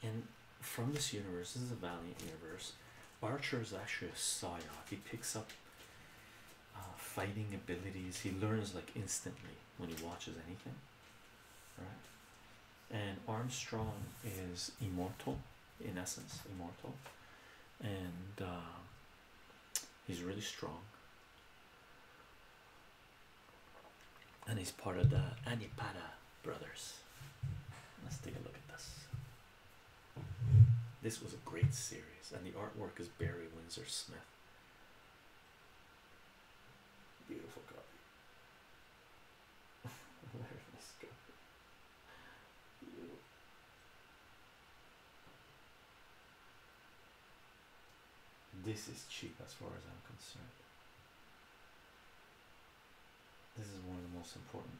And from this universe, this is a Valiant universe. Archer is actually a psyop. He picks up uh, fighting abilities. He learns like instantly when he watches anything. All right. And Armstrong is immortal in essence immortal and uh, he's really strong and he's part of the Anipada brothers let's take a look at this this was a great series and the artwork is Barry Windsor Smith beautiful copy This is cheap as far as I'm concerned. This is one of the most important,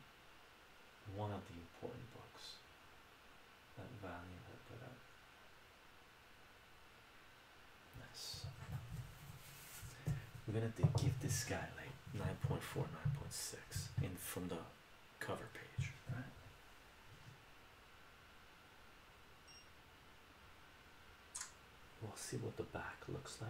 one of the important books that Valiant had put out. Nice. We're gonna give this guy like 9.4, 9.6 six in from the cover page, right? We'll see what the back looks like.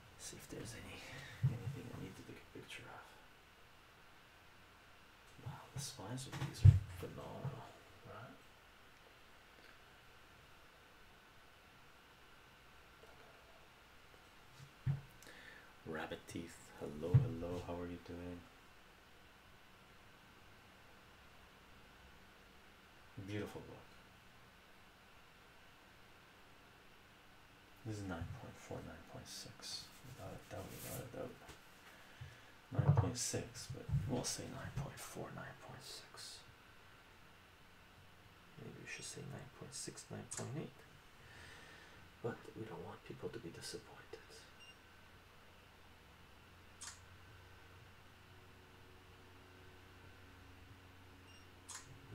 see if there's any anything I need to take a picture of. Wow, the spines of these are phenomenal, Rabbit teeth, hello, hello, how are you doing? Beautiful book. This is nine point four, nine point six. 9.6. Without a doubt, without a doubt. 9.6, but we'll say nine point four, nine point six. Maybe we should say 9.6, 9.8. But we don't want people to be disappointed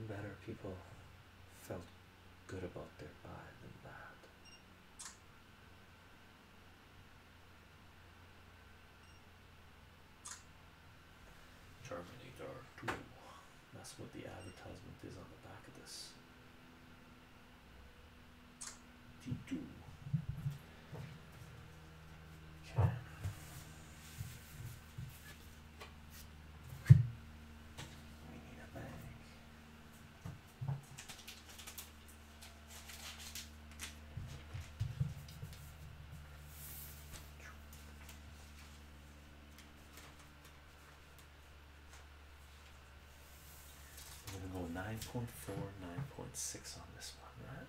better people felt good about their buy than that. Terminator 2. That's what the advertisement is on the back of this. T2. We need I'm going to go nine point four, nine point six on this one, right?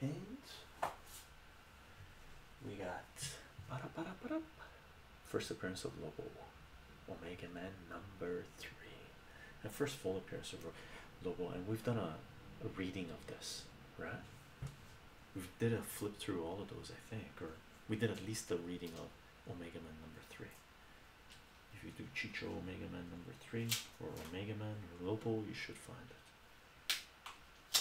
And we got first appearance of Lobo, Omega Man number three, and first full appearance of Lobo. And we've done a, reading of this, right? We did a flip through all of those, I think, or we did at least the reading of Omega Man number three. If you do Chicho Omega Man number three, or Omega Man, or Lobo, you should find it.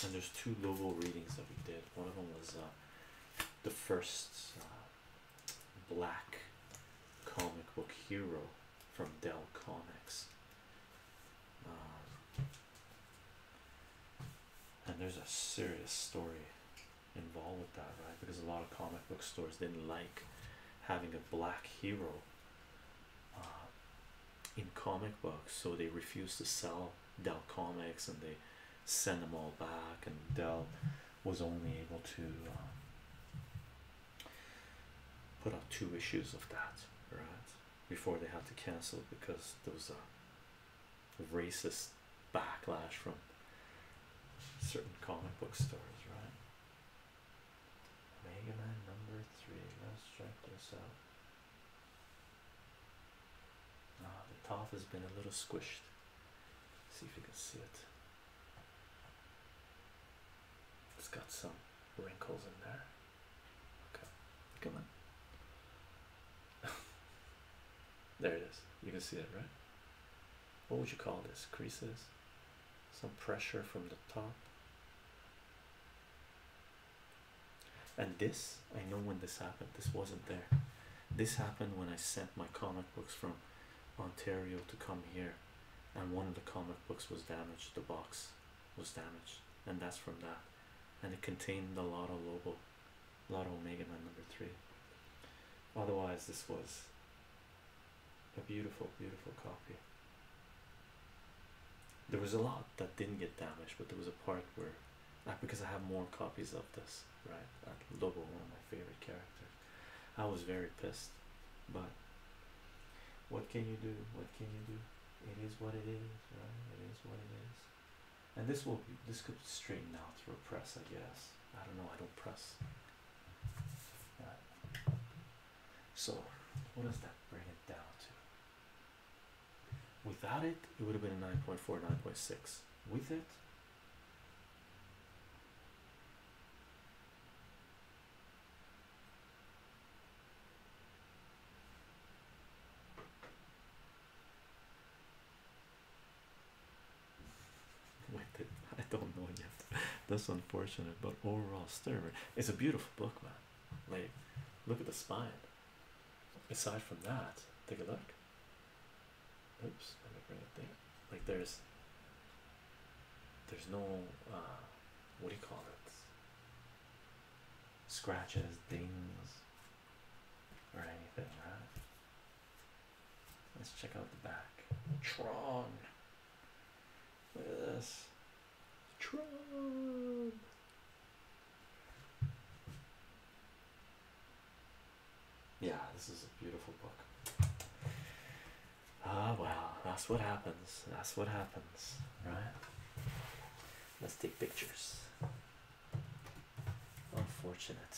And there's two Lobo readings that we did. One of them was uh, the first uh, black comic book hero from Dell Comics. Um, and there's a serious story involved with that, right? Because a lot of comic book stores didn't like having a black hero uh, in comic books so they refused to sell Dell comics and they send them all back and Dell was only able to uh, put out two issues of that right before they had to cancel because there was a racist backlash from certain comic book stores right Mega Man number three. Let's check this out. Ah, the top has been a little squished. See if you can see it. It's got some wrinkles in there. Okay, come on. there it is. You can see it, right? What would you call this? Creases? Some pressure from the top. And this, I know when this happened, this wasn't there. This happened when I sent my comic books from Ontario to come here, and one of the comic books was damaged. The box was damaged, and that's from that. And it contained the Lotto logo, Lotto Omega Man number three. Otherwise, this was a beautiful, beautiful copy. There was a lot that didn't get damaged, but there was a part where, because I have more copies of this, right? That Lobo, one of my favorite characters, I was very pissed. But what can you do? What can you do? It is what it is, right? It is what it is. And this will be, this could straighten out through a press, I guess. I don't know. I don't press. So, what does that bring it down to? Without it, it would have been a 9.4, 9.6. With it, with it, I don't know yet. That's unfortunate, but overall, Sturmer. It's a beautiful book, man. Like, look at the spine. Aside from that, take a look. Oops, let me bring it there. Like, there's, there's no, uh, what do you call it? Scratches, dings, or anything, right? Let's check out the back. Tron. Look at this. Trump. Yeah, this is a beautiful book. Ah, well, that's what happens. That's what happens, right? Let's take pictures. Unfortunate.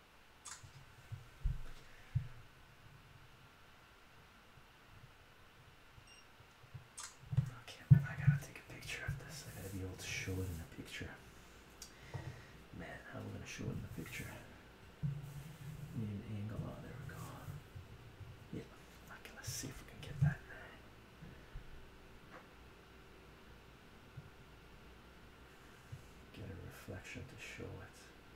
Okay, I gotta take a picture of this. I gotta be able to show it in a picture. Man, how am I gonna show it in the picture? Need an angle. Oh, there we go. Yeah, okay, let's see if we can get that Get a reflection to show it.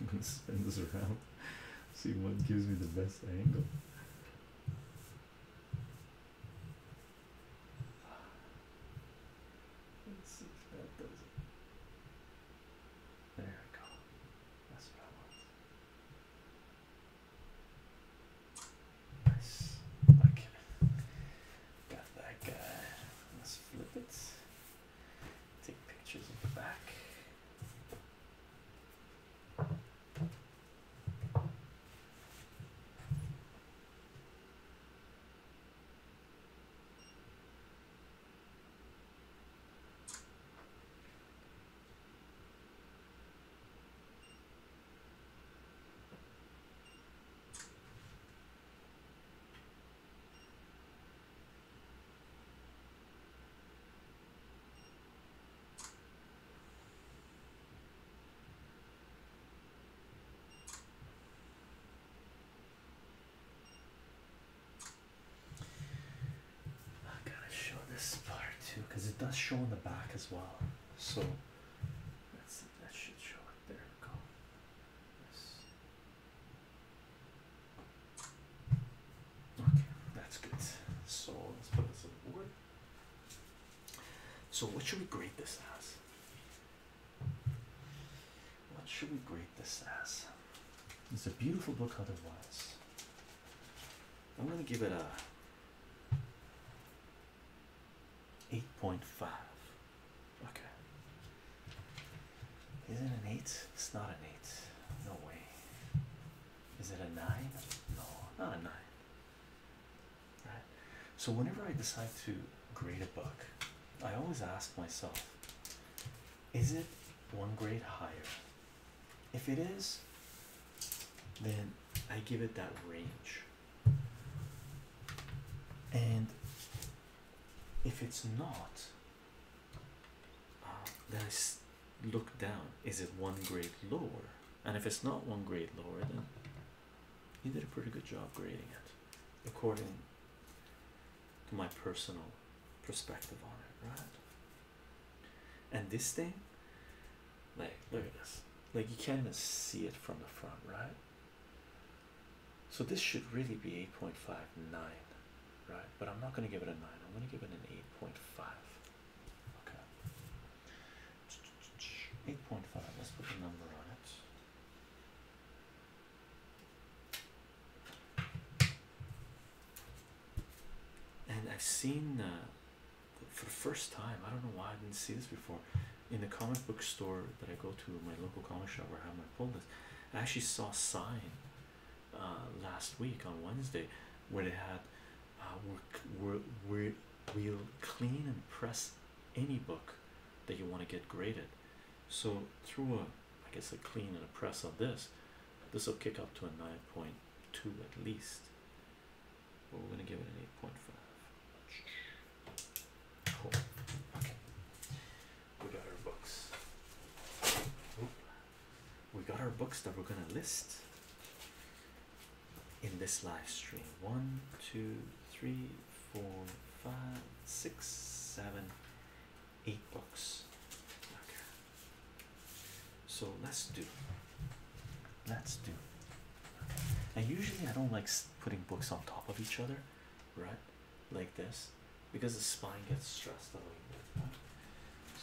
I'm gonna spin this around, see what gives me the best angle. There we go. That's what I want. Nice. Got that guy. Let's flip it. Take pictures of the back. I gotta show this part too because it does show in the back as well. So that should show up There we go. Yes. Okay, that's good. So let's put this on the board. So what should we grade this as? What should we grade this as? It's a beautiful book otherwise. I'm gonna give it a 8.5. Okay. Is it an 8? It's not an 8. No way. Is it a 9? No, not a 9. So, whenever I decide to grade a book, I always ask myself, is it one grade higher? If it is, then I give it that range. And if it's not uh, then I look down is it one grade lower and if it's not one grade lower then you did a pretty good job grading it according to my personal perspective on it right and this thing like look at this like you can't even see it from the front right so this should really be 8.59, right? But I'm not going to give it a 9. I'm going to give it an 8.5. Okay. 8.5. Let's put a number on it. And I've seen uh, for the first time, I don't know why I didn't see this before in the comic book store that I go to, my local comic shop where I have my pull list, I actually saw a sign uh, last week on Wednesday where they had uh, we we we'll clean and press any book that you want to get graded. So through a, I guess a clean and a press on this, this will kick up to a 9.2 at least. But we're going to give it an 8.5. We got our books. We got our books that we're going to list in this live stream. One, two, three, four, five, six, seven, eight books. So let's do. Let's do. And usually I don't like putting books on top of each other, right? like this because the spine gets stressed out like that.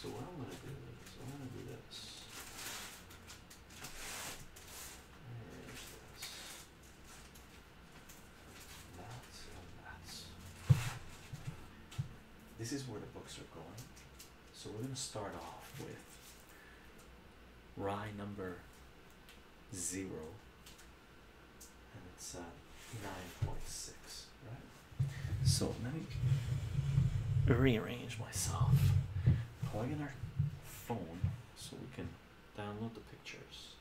So what I'm gonna do is I'm gonna do this. Oh, this is where the books are going. So we're gonna start off with rye number zero and it's uh, 9.6 right so let me rearrange myself plug in our phone so we can download the pictures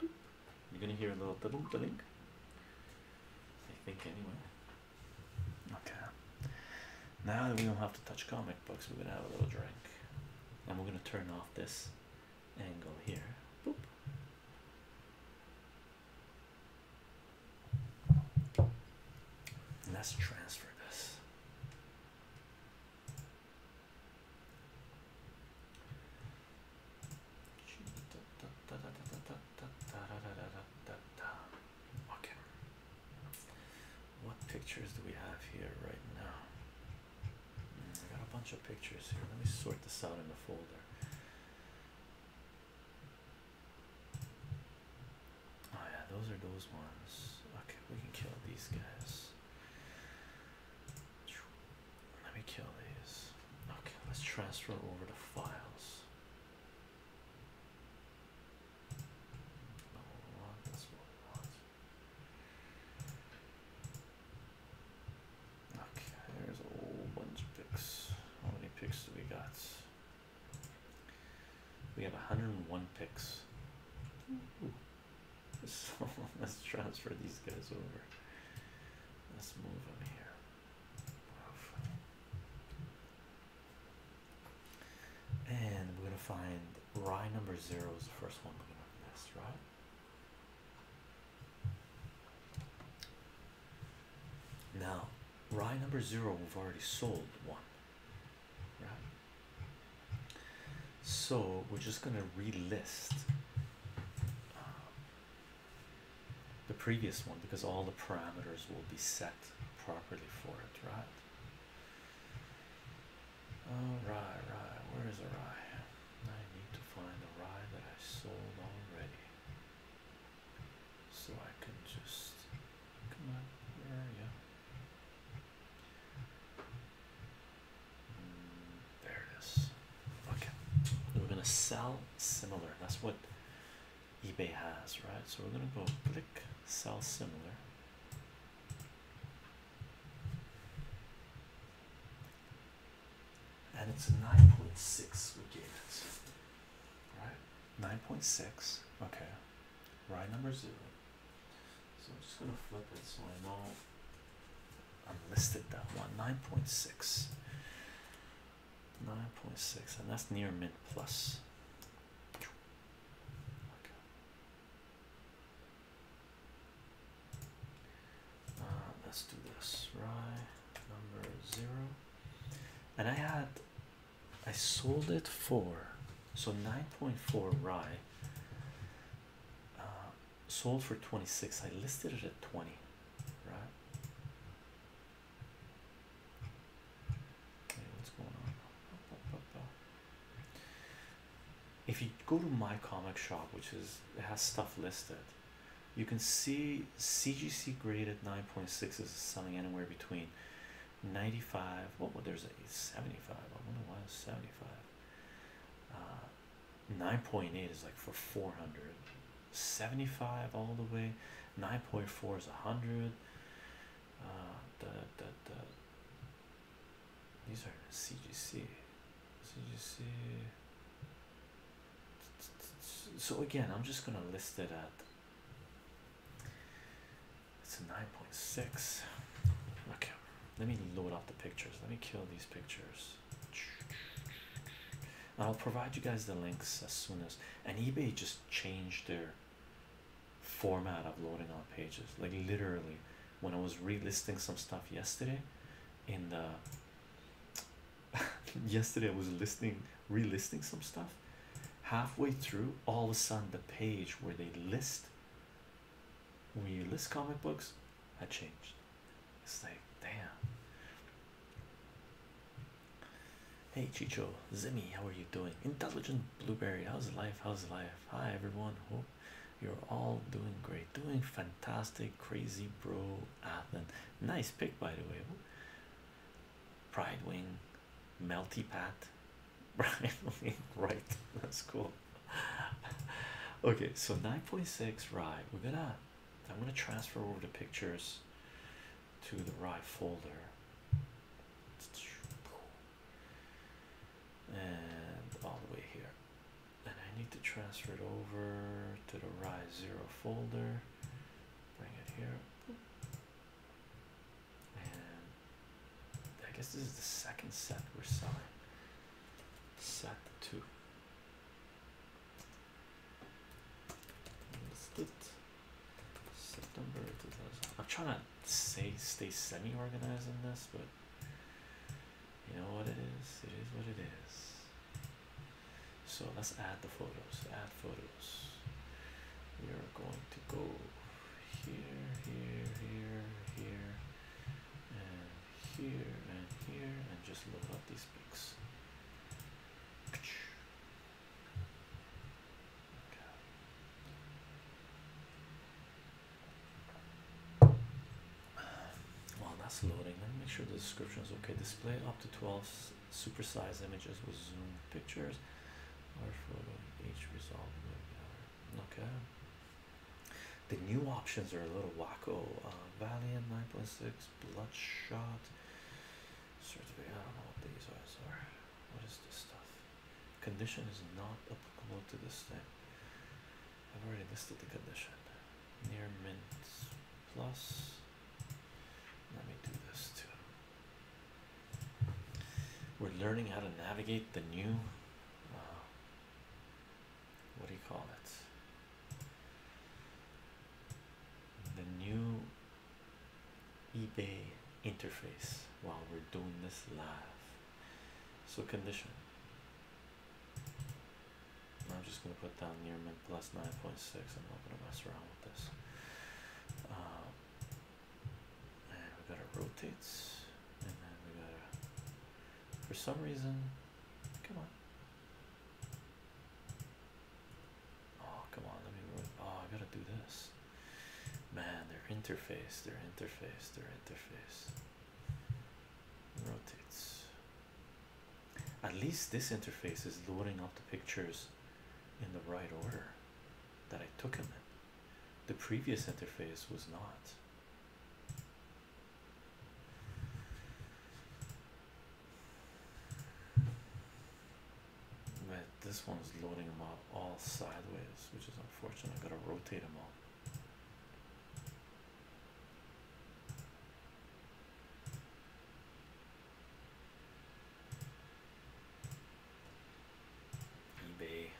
you're gonna hear a little diddle diddling I think anyway okay now that we don't have to touch comic books we're gonna have a little drink and we're gonna turn off this angle here. Boop. Let's transfer this. Okay. What pictures do we have here right now? I got a bunch of pictures here. Let me sort this out in the folder. Oh, yeah, those are those ones. Okay, we can kill these guys. Let me kill these. Okay, let's transfer over the files. Okay, there's a whole bunch of picks. How many picks do we got? We have 101 picks. So let's transfer these guys over. Let's move them here. And we're gonna find Rye number zero is the first one we're gonna miss, right? Now, rye number zero, we've already sold one, right? So we're just going to relist uh, the previous one because all the parameters will be set properly for it, right? All right, right. Where is the rye? I need to find a ride that I sold already. So I can just come on, where are you? Mm, there it is. Okay, we're gonna sell similar. That's what eBay has, right? So we're gonna go click sell similar and it's 9.6 we gave it right 9.6 okay right number zero so i'm just going to flip it so i know i listed that one 9.6 9.6 and that's near mint plus uh, let's do this right number zero and I had I sold it for so 9.4 rye uh, sold for 26 I listed it at 20 right okay, what's going on if you go to my comic shop which is it has stuff listed you can see CGC grade at 9.6 is selling anywhere between 95 what well, there's a 75 I wonder why 75 uh, 9.8 is like for four hundred seventy five all the way 9.4 is 100 uh, the, the, the, these are CGC CGC so again i'm just going to list it at it's a 9.6 okay let me load up the pictures let me kill these pictures i'll provide you guys the links as soon as and ebay just changed their format of loading on pages like literally when i was relisting some stuff yesterday in the yesterday I was listening, re-listing some stuff. Halfway through, all of a sudden, the page where they list when you list comic books had changed. It's like, damn. Hey Chicho, Zimmy, how are you doing? Intelligent Blueberry, how's life? How's life? Hi everyone, hope you're all doing great, doing fantastic, crazy bro. Atlin. Ah, nice pic by the way. Pride Wing, Melty Pat, Pride Wing, right? That's cool. okay, so 9.6 right. We're gonna I'm gonna transfer over the pictures to the right folder. And all the way here and I need to transfer it over to the rise zero folder. Bring it here, and I guess this is the second set we're selling. Set two. Listed September 2000. I'm trying to say stay semi-organized in this, but you know what it is. It is what it is. So let's add the photos. Add photos. We are going to go here, here, here, here, and here, and here, and just load up these pics. While that's loading, let me make sure the description is okay. Display up to 12 supersized images with zoom pictures or photo each resolve. Okay. The new options are a little wacko. Uh, Valiant 9.6, Bloodshot. Certificate. I don't know what these are. Sorry. What is this stuff? Condition is not applicable to this thing. I've already listed the condition. Near mint plus let me do this too we're learning how to navigate the new uh, what do you call it the new ebay interface while we're doing this live so condition I'm just gonna put down near mint plus 9.6. I'm not gonna mess around with this. Um, and we gotta rotate, and then we gotta. For some reason, come on. Oh come on, let me Oh, I gotta do this. Man, their interface, their interface, their interface rotates. At least this interface is loading up the pictures in the right order that I took them in. The previous interface was not. But this is loading them up all sideways, which is unfortunate. I have gotta rotate them all eBay.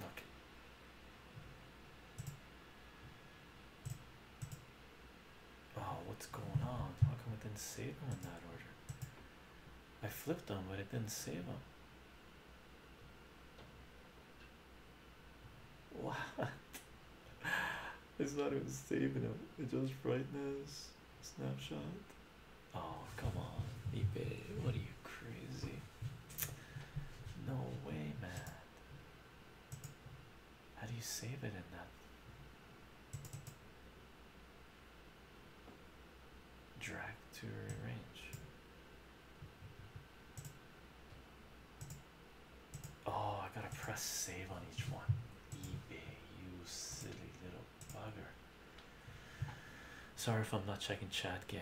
Look. Oh, what's going on? How come it didn't save them in that order? I flipped them, but it didn't save them. What? It's not even saving it. It just brightness snapshot. Oh come on, eBay! What are you crazy? No way, man. How do you save it in that drag to rearrange? Oh, I gotta press save on each one. eBay, you silly little bugger. Sorry if I'm not checking chat, gang.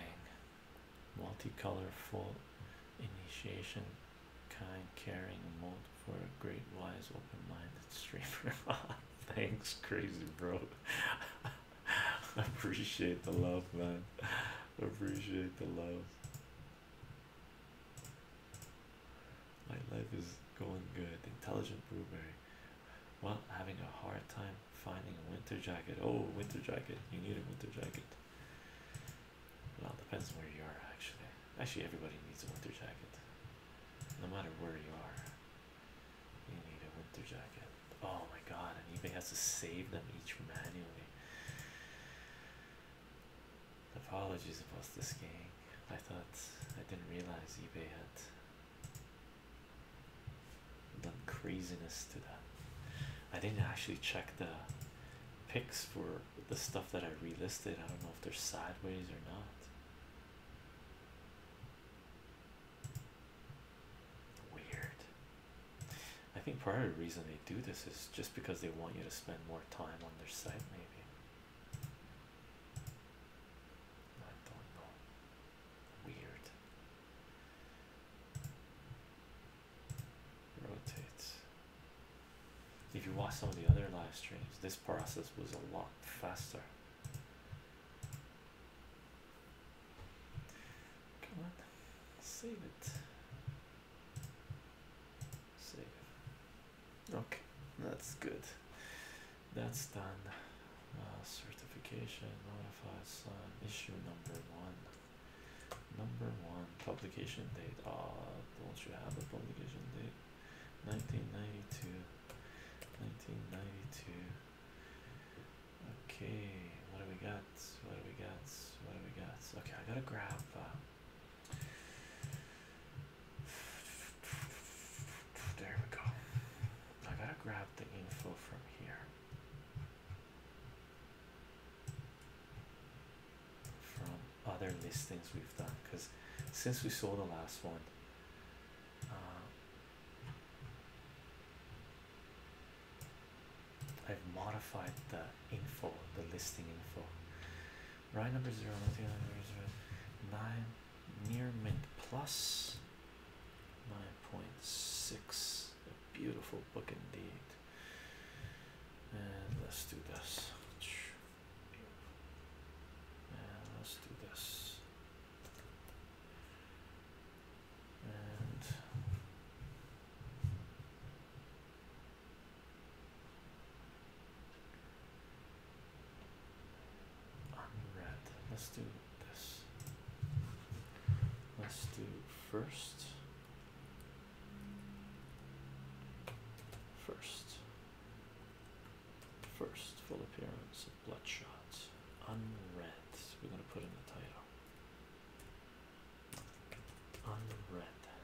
Multicolor initiation kind caring mode for a great wise open-minded streamer thanks crazy bro appreciate the love man appreciate the love my life is going good. Intelligent blueberry. Well, having a hard time finding a winter jacket. Oh, winter jacket. You need a winter jacket. Well, depends on where you are, actually. Actually, everybody needs a winter jacket. No matter where you are, you need a winter jacket. Oh my god, and eBay has to save them each manually. Apologies about this game. I thought I didn't realize eBay had done craziness to that. I didn't actually check the pics for the stuff that I relisted. I don't know if they're sideways or not. Weird. I think part of the reason they do this is just because they want you to spend more time on their site, maybe. I don't know. Weird. Rotate. If you watch some of the other live streams, this process was a lot faster. Come on, save it. Save Okay, that's good. That's done. Uh, certification notify sign uh, issue number one. Number one publication date. Ah, don't you have a publication date? 1992. 1992. Okay, what do we got? What do we got? What do we got? Okay, I gotta grab. Uh, there we go. I gotta grab the info from here. From other listings we've done, because since we saw the last one, uh, I've modified the info, the listing info. Right number zero, nine near mint plus nine point six. A beautiful book indeed. And let's do this. And let's do this. And Unread. Let's do this. Let's do first. First. First full appearance of bloodshot. Unread. We're gonna put in the title. Unread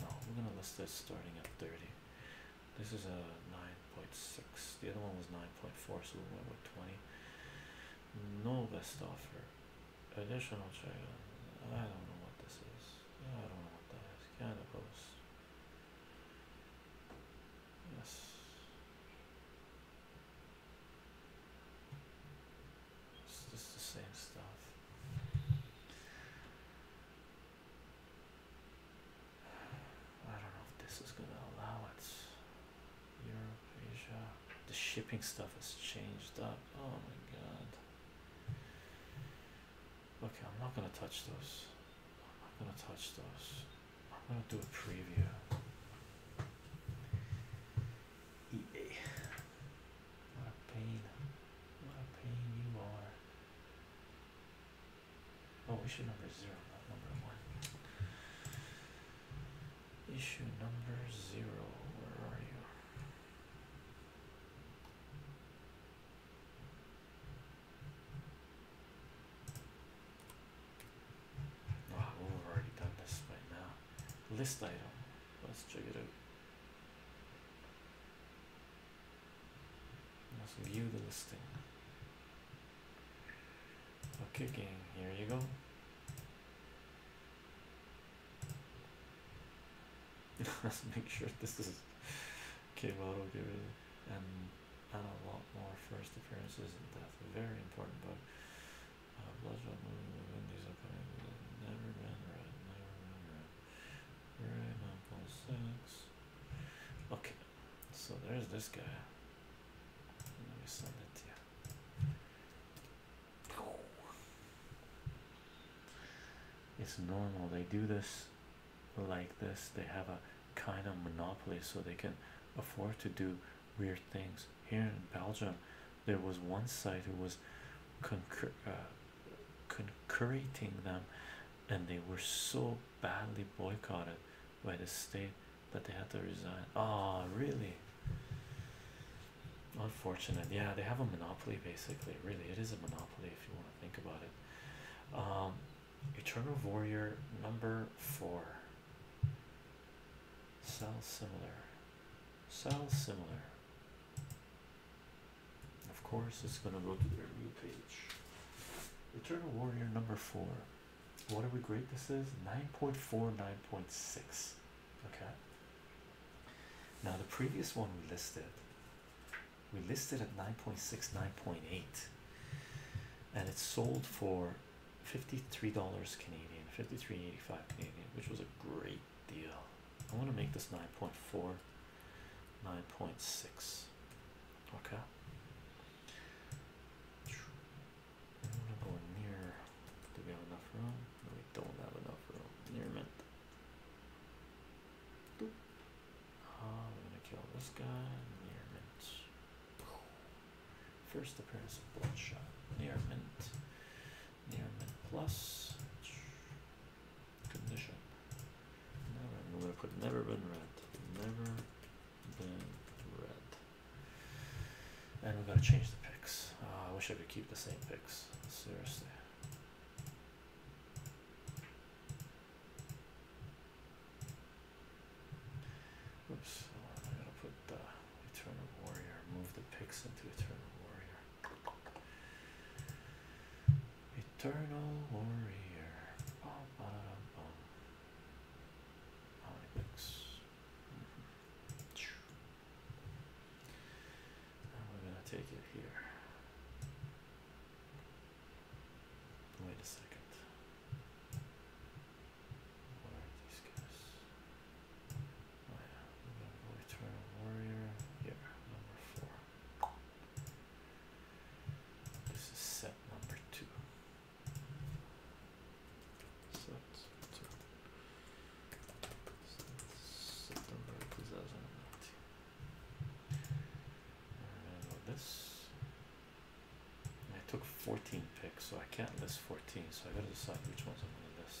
no we're gonna list this starting at 30 this is a 9.6 the other one was 9.4 so we went with 20 no best offer additional check I don't know what this is I don't know what that is cannabis yes it's just the same stuff. I don't know if this is going to allow it. Europe, Asia. The shipping stuff has changed up. Oh my god. Okay, I'm not going to touch those. I'm not going to touch those. I'm going to do a preview. EA. What a pain. What a pain you are. Oh, issue number zero, not number one. Issue number zero, where are you? Wow, we've already done this by now. List item. Let's check it out. Let's view the listing. Okay, gang, here you go. Let's make sure this is okay. well, it'll give you and and a lot more first appearances and that's Very important But Uh, Bloodshot movie, Vin Diesel coming. Never been read. Never been read. Right, 9.6. Okay, so there's this guy. Let me send it to you. It's normal, they do this like this, they have a kind of monopoly so they can afford to do weird things. Here in Belgium, there was one side who was concur uh, concurrating them and they were so badly boycotted by the state that they had to resign Ah, really unfortunate yeah they have a monopoly basically really it is a monopoly if you want to think about it um eternal warrior number four Sell similar, sell similar. Of course, it's going to go to their new page. Eternal Warrior number four. What are we grade this is? nine point four nine point six. Okay. Now, the previous one we listed, we listed at nine point six nine point eight, and it sold for $53 Canadian, 53.85 Canadian, which was a great deal. I want to make this 9.4, 9.6. Okay. I want to go near. Do we have enough room? we don't have enough room. Near mint. Uh, I'm going to kill this guy. Near First appearance of Bloodshot. Near yeah, and plus condition. Never, I'm gonna put never been red. Never been red. And we're gonna change the picks. Ah, I wish I could keep the same picks. Seriously. Oops, oh, I'm to put the Eternal Warrior, move the picks into Eternal Warrior. Eternal warrior. Bum, ba, bum. And we're gonna take it here. Wait a second. Where are these guys? Oh yeah, Eternal Warrior. Yeah, number four. This is set number two. Set two. September 2019. And this. I took 14 picks, so I can't list 14, so I gotta decide which ones I'm gonna list.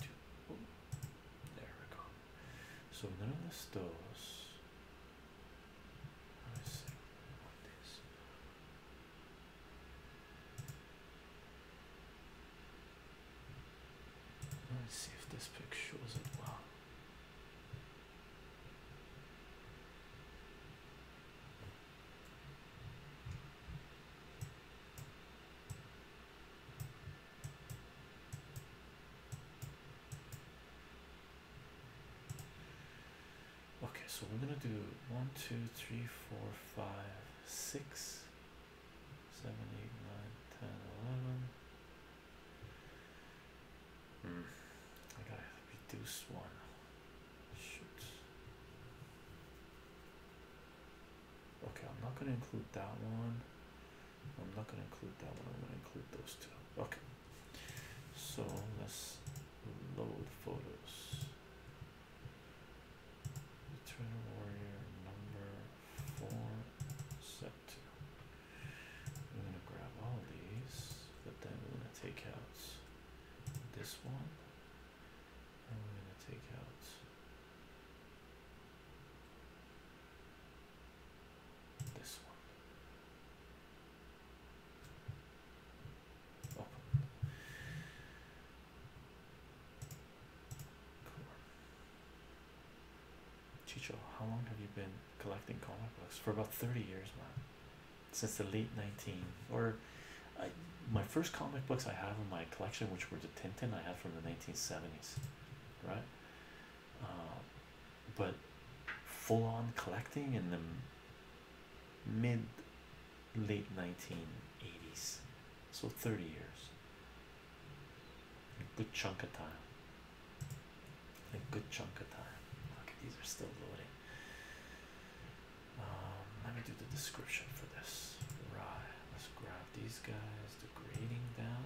two. Oh, there we go. So none of this those. Let Let's see if this pic shows it well. Okay, so we're gonna do one, two, three, four, five, six, seven, eight, nine, ten, eleven. Hmm. I gotta reduce one. Shoot okay i'm not going to include that one i'm not going to include that one i'm going to include those two okay so let's load photos eternal warrior number four set two i'm going to grab all these but then we're going to take out this one and we're going to take out this one. Open. Chicho, how long have you been collecting comic books? For about 30 years, man. Since the late 19 or my first comic books I have in my collection, which were the Tintin I had from the 1970 right? Uh, but full on collecting in the mid late 1980s, so 30 years, a good chunk of time. A good chunk of time. Okay, these are still loading. Um, let me do the description for this. Right, let's grab these guys the grading down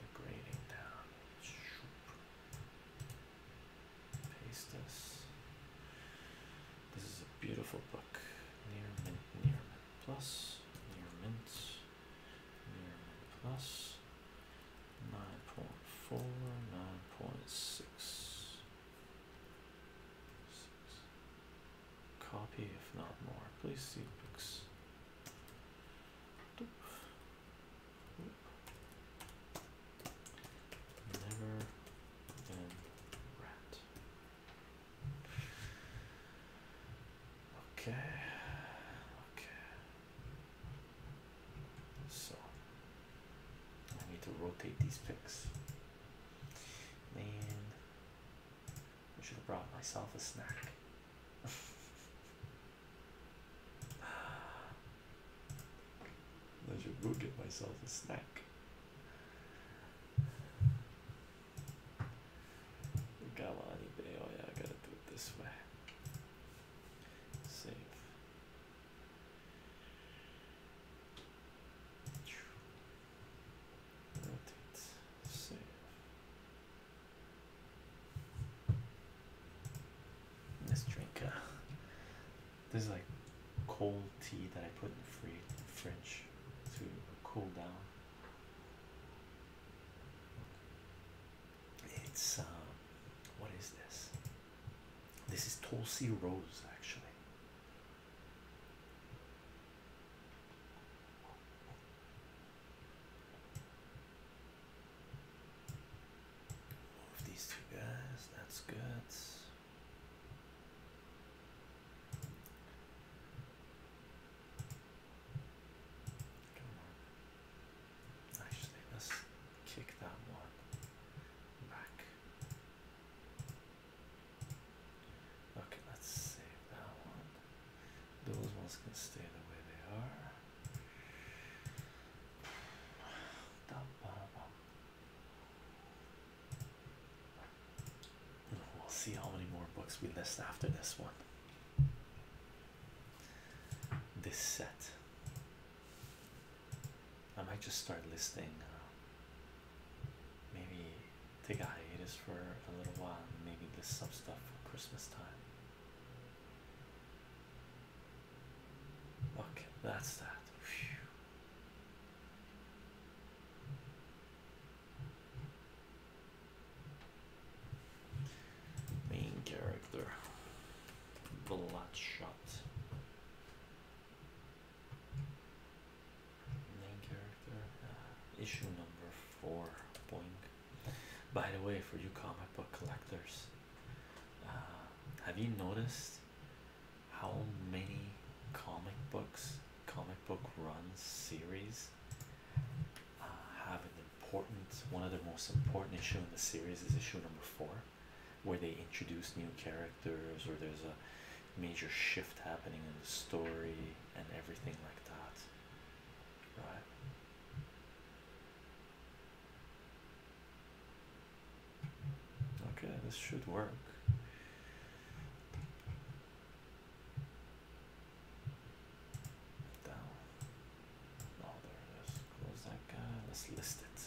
the down paste this this is a beautiful book near mint near mint plus near mint near mint plus 9.4 9.6 copy if not more please see pics never been rat okay okay so I need to rotate these pics Man, I should have brought myself a snack. I should go get myself a snack. Galani Bay, oh yeah, I gotta do it this way. Save. Let's drink. Uh, this is like cold tea that I put in the fridge to cool down. It's um, what is this? This is Tulsi Rose, actually. Move these two guys, that's good. Come on. Actually, let's kick that one back. Okay, let's save that one. Those ones can stay the way they are. We'll see how many more books we list after this one. This set I might just start listing. Uh, maybe take a hiatus for a little while maybe list some stuff for Christmas time. Okay, that's that. Main character, bloodshot. Main character, uh, issue number four. Boing. By the way, for you comic book collectors, uh, have you noticed how many comic books, comic book run series uh, have an important one of the most important issue in the series is issue number four where they introduce new characters or there's a major shift happening in the story and everything like that, right? Okay, this should work. Down. Oh, there it is. Close that guy. Let's list it.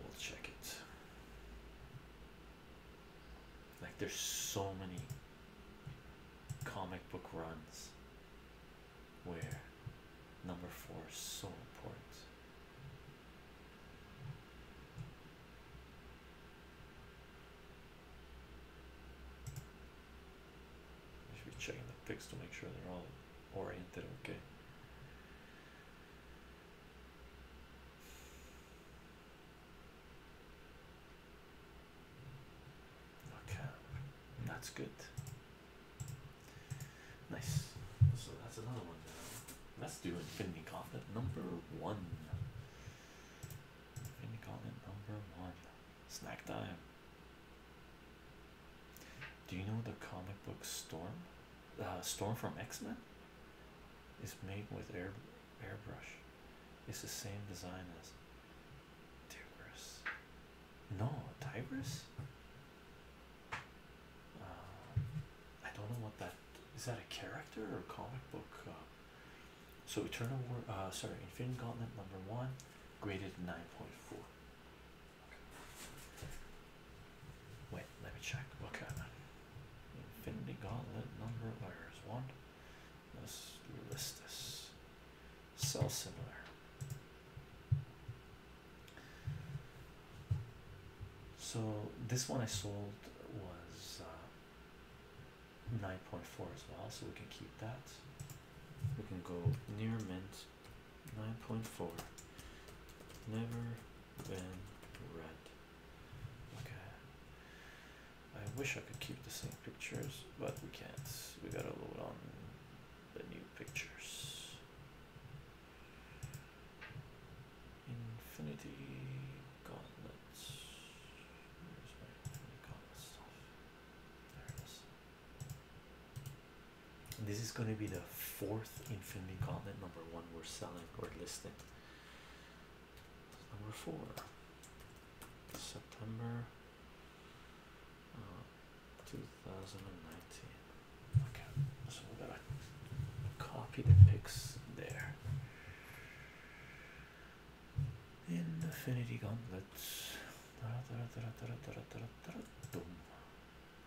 We'll check it. Like, there's so many comic book runs where number four is so important. I should be checking the pics to make sure they're all oriented okay. Okay, that's good. Nice. So that's another one. Down. Let's do Infinity Gauntlet number one. Infinity Gauntlet number one. Snack time. Do you know the comic book store? uh, Storm from X Men is made with air airbrush. It's the same design as Tigris. No, Tigris. Uh, I don't know what that is. That a character or a comic book? Uh, so Eternal War. Uh, sorry, Infinity Gauntlet number one, graded nine point four. Wait, let me check. Okay. Infinity Gauntlet number of errors. One. Let's list this. Cell similar. So this one I sold was uh, 9.4 as well, so we can keep that. We can go near mint 9.4. Never been red. Okay. I wish I could keep the same pictures, but we can't. We gotta load on the new pictures. Infinity gauntlets. Where's my infinity gauntlet There it is. This is gonna be the fourth infinity gauntlet number one we're selling or listing. Number four, September uh, 2019. Okay, so we gotta copy the pics there. Infinity Gauntlet.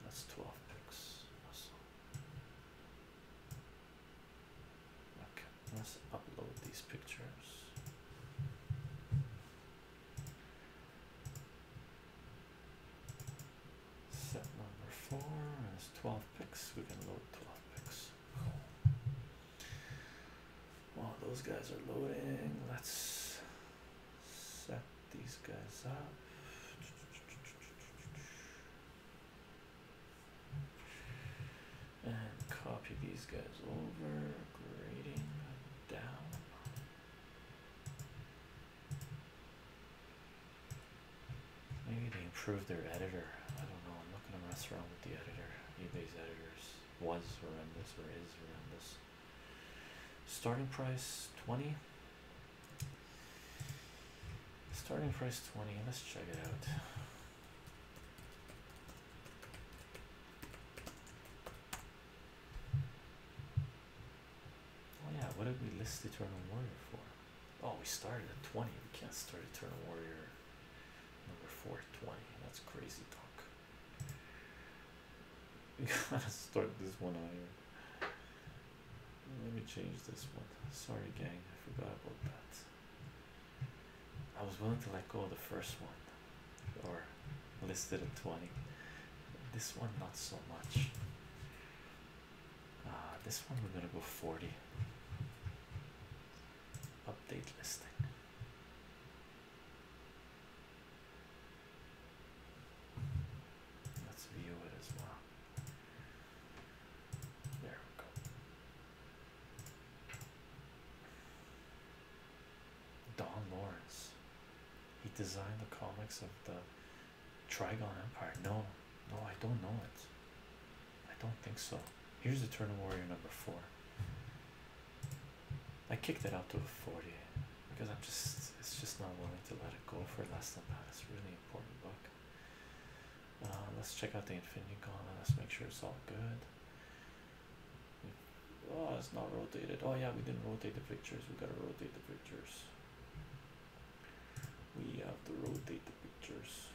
That's 12 picks. Okay, let's upload these pictures. Set number four has 12 pics. We can load 12 pics. Cool. those guys are loading, let's set these guys up and copy these guys over, grading down. Maybe they improved their editor. I don't know. I'm not gonna mess around with the editor. eBay's editors was horrendous Where is horrendous. Starting price twenty. Starting price 20. Let's check it out. Oh yeah, what did we list Eternal Warrior for? Oh, we started at 20. We can't start Eternal Warrior number 420. That's crazy talk. Let's start this one higher. Let me change this one. Sorry, gang, I forgot about that. I was willing to let go of the first one or listed at 20. This one, not so much. Uh, this one, we're gonna go 40. Update listing. Let's view it as well. Don Lawrence. He designed the comics of the Trigon Empire. No, no, I don't know it. I don't think so. Here's Eternal Warrior number four. I kicked it up to a 40 because I'm just it's just not willing to let it go for less than that. It's really important book. Um, let's check out the Infinity Gauntlet. Let's make sure it's all good. Oh, it's not rotated. Oh yeah, we didn't rotate the pictures. We gotta rotate the pictures. We have to rotate the pictures.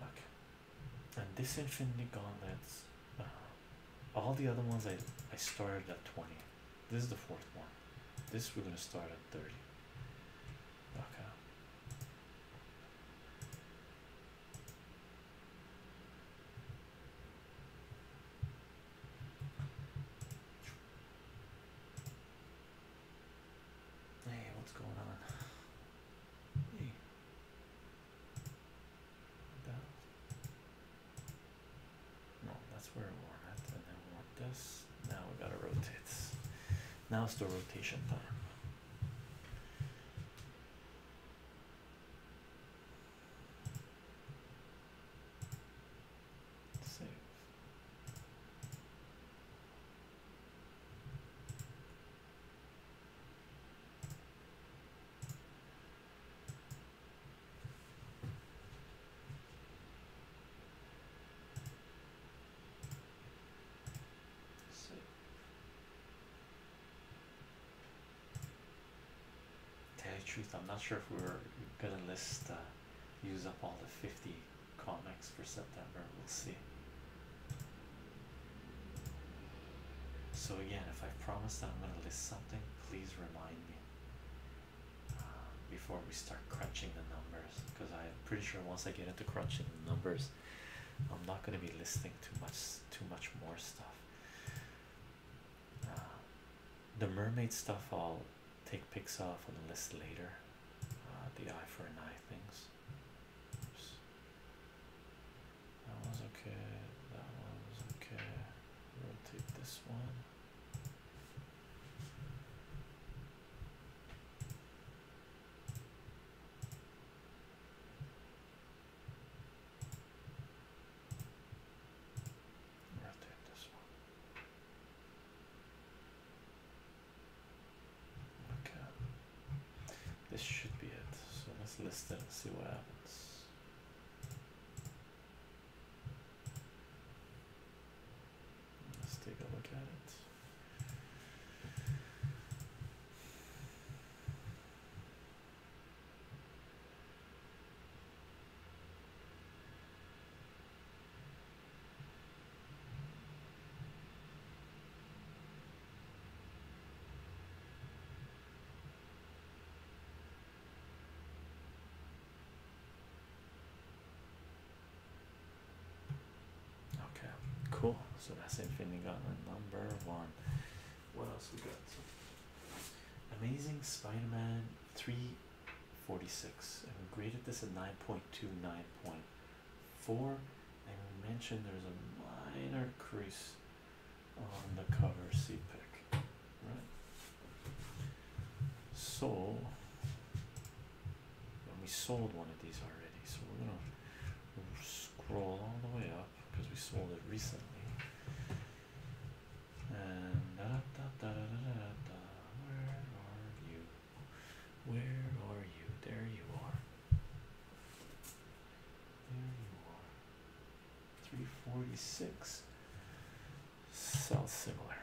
Okay. And this Infinity Gauntlet, uh, all the other ones I I started at twenty. This is the fourth one. This we're going to start at 30. Okay. Hey, what's going on? Hey. No, that's where we're at, and I want this. Now we gotta rotate. Now it's the rotation time. Save. So. Tell you truth, I'm not sure if we are gonna list uh, use up all the 50 comics for September. We'll see. So, again, if I promise that I'm gonna list something, please remind me before we start crunching the numbers because I'm pretty sure once I get into crunching the numbers I'm not going to be listing too much too much more stuff uh, the mermaid stuff I'll take pics of on the list later uh, the eye for an eye things that was okay that one was okay take this one this Okay. This should be it. So let's list it and see what happens. Let's take a look at it. Okay, cool. So that's Infinity Gauntlet number one. What else we got? Amazing Spider Man 346. And we graded this at nine point two, nine point four. And we mentioned there's a minor crease on the cover C pick. Right. So and we sold one of these already so we're gonna scroll all the way up because we sold it recently and da -da -da -da -da -da where are you where are you there you are there you are 346 sounds similar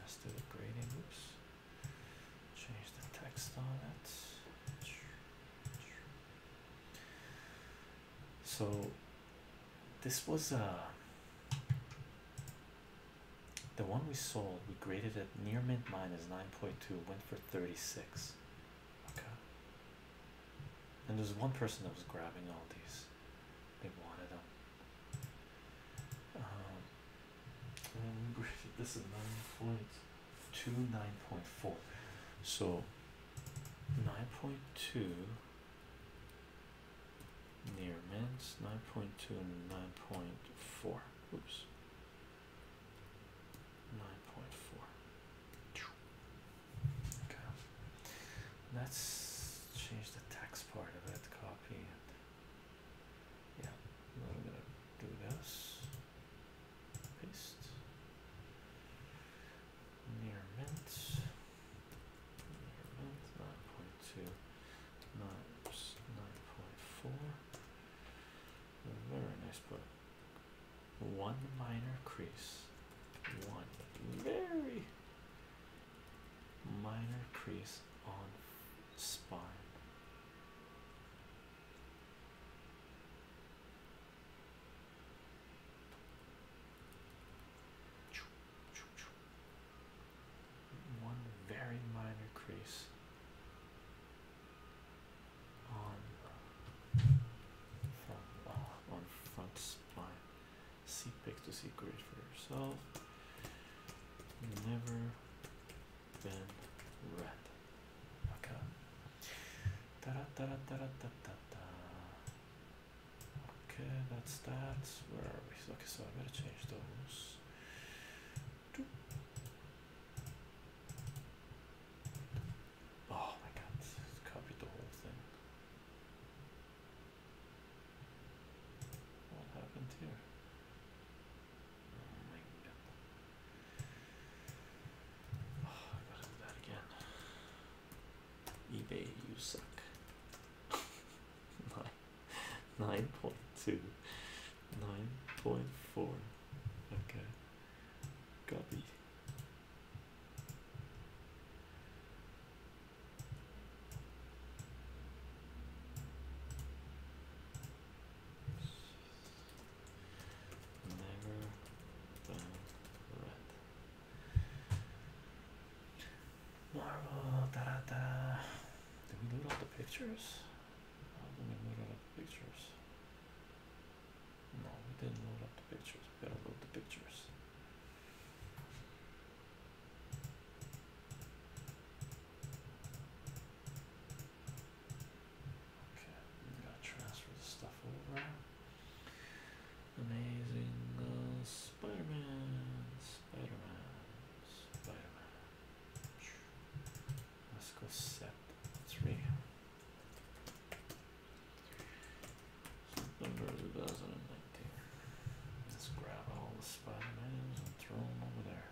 Let's do the grading. Oops. Change the text on it. So this was uh, the one we sold. We graded it near mint minus 9.2, went for 36. Okay. And there's one person that was grabbing all these they wanted him. Um, um this is nine point two, nine point four. So nine point two near mints, nine point two nine point four. Oops. Nine point four. Let's change the text part of it. Copy Yeah, now we're gonna do this. Paste. Near mint. Near Nine point Nine point four. Very nice book. One minor crease. One very minor crease on spine. One very minor crease on uh, front, uh, on front spine see pick to see great for yourself. Never been read. Okay. Da -da -da -da -da -da -da -da. Okay, that's that. Where are we? Okay, so I better change those. Oh my god, copied the whole thing. What happened here? Oh my god. Oh, I gotta do that again. eBay, you suck. Nine, nine point two, nine point four. Okay, copy. Marvel, da da da. Did we load up the pictures? How did we load up the pictures? No, we didn't load up the pictures. We gotta load the pictures. Okay, I'm gonna transfer the stuff over. Amazing uh, Spider Man, Spider Man, Spider Man. Let's go set three. Let's grab all the Spider-Mans and throw them over there.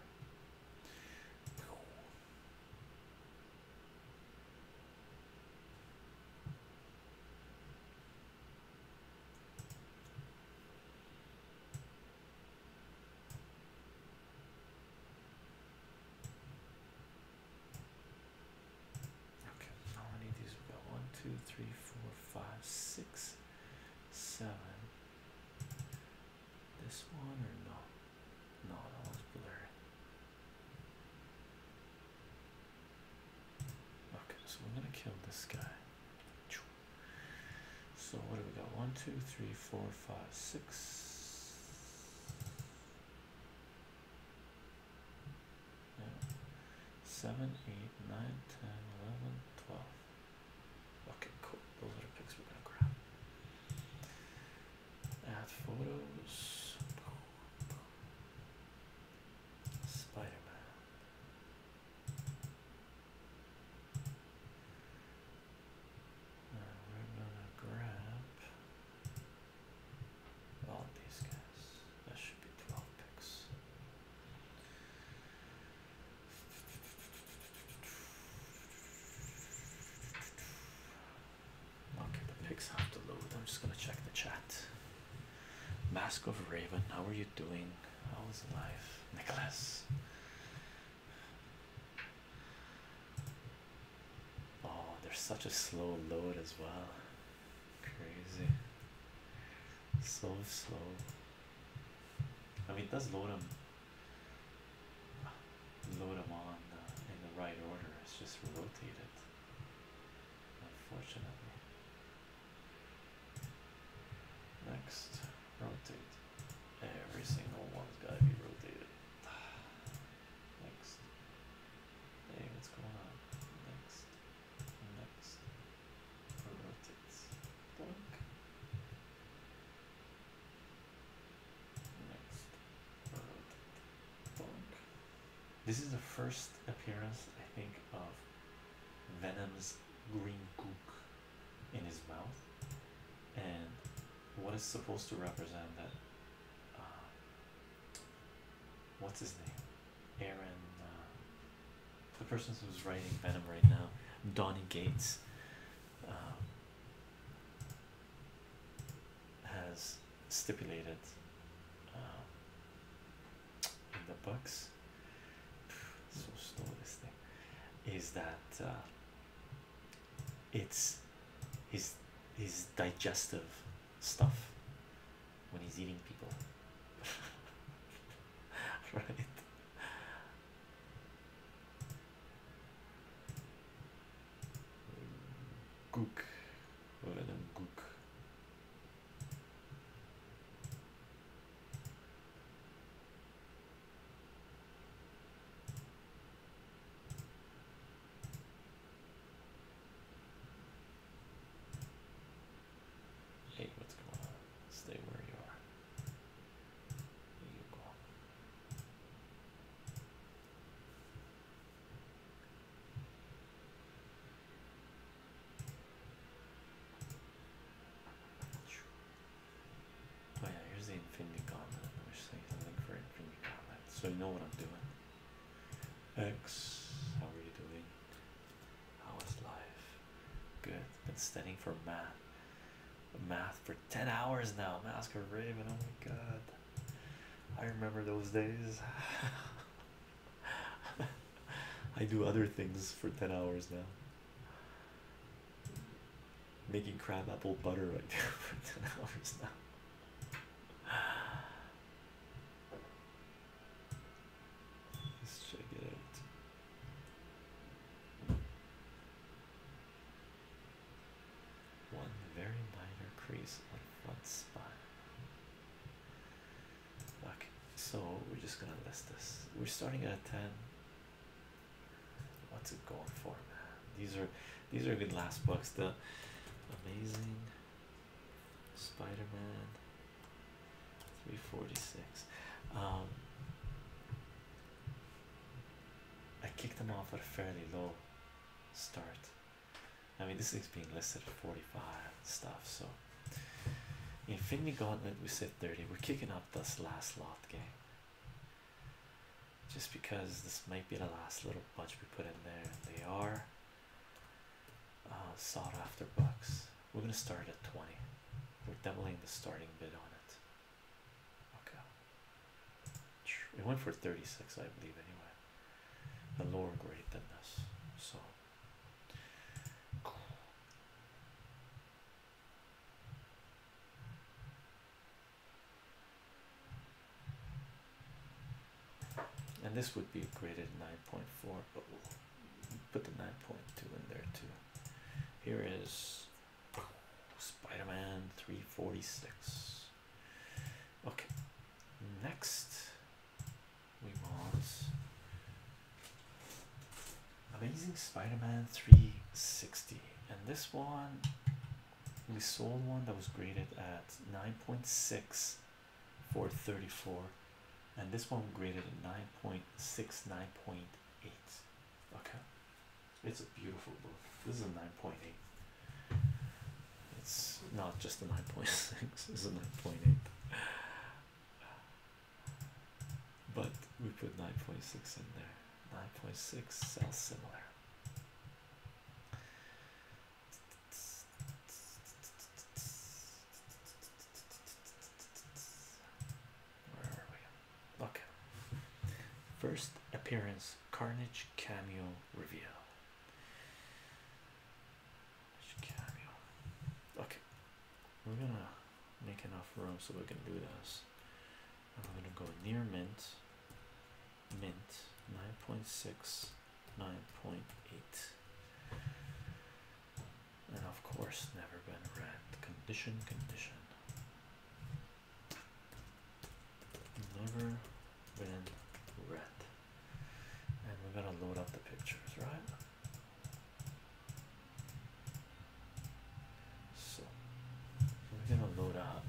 Okay, now I these. one, two, three, four, five, six, seven. This one or no? No, that one's blurry. Okay, so we're gonna kill this guy. So what do we got? One, two, three, four, five, six yeah. 7, 8, 9, 10, 11, 12. Okay, cool. Those are the pics we're going to grab. Add photos. Spider we're gonna grab all these guys. That should be 12 picks. Okay, the pics have to load. I'm just gonna check the chat. Mask of Raven, how are you doing? How is life, Nicholas? Oh, there's such a slow load as well. Crazy. So slow. I mean, does load them, load them on in the right order. It's just rotate it. unfortunately. Next, rotate. Every single one's got to be rotated. Next. Hey, what's going on? Next, next, this is the first appearance, I think, of Venom's green goo in his mouth, and what is supposed to represent that. Uh, what's his name? Aaron, uh, the person who's writing Venom right now, Donnie Gates, um, has stipulated um, in the books. So slow this thing is that uh, it's his his digestive stuff when he's eating people. right? Gook, let him gook. Hey, what's going on? Stay where you are. There you go. Oh yeah, here's the Infinity Gauntlet. I wish I had for Infinity Gauntlet, so you know what I'm doing. X, how are you doing? was life? Good. Been studying for math. Math for 10 hours now. Mask of Raven. Oh my god. I remember those days. I do other things for 10 hours now. Making crab apple butter right now for 10 hours now. Let's check it out. One very minor crease on one spot. Okay, so we're just gonna list this. We're starting at 10. What's it going for, man? These are these are good last books. The amazing Spider-Man 346. Um, I kicked them off at a fairly low start. I mean, this thing's being listed at 45 stuff, so Infinity Gauntlet, we sit 30. We're kicking up this last lot game just because this might be the last little bunch we put in there. They are uh, sought after bucks. We're going to start at 20. We're doubling the starting bid on it. Okay. It went for 36, I believe, anyway. the lower grade than this. So. And this would be graded 9.4, but put the 9.2 in there too. Here is Spider-Man 346. Okay, next we want Amazing Spider-Man 360, and this one we sold one that was graded at 9.6 for 34 and this one graded at 9.6 9.8 Okay, it's a beautiful book. This is a 9.8. It's not just a 9.6, it's a 9.8. But we put 9.6 in there. 9.6 sounds similar. Okay. First appearance Carnage cameo reveal. Cameo. Okay. We're gonna make enough room so we can do this. I'm gonna go near mint, mint 9.6, 9.8 and of course never been red. condition condition never been red. and we're gonna load up the pictures right so we're gonna load up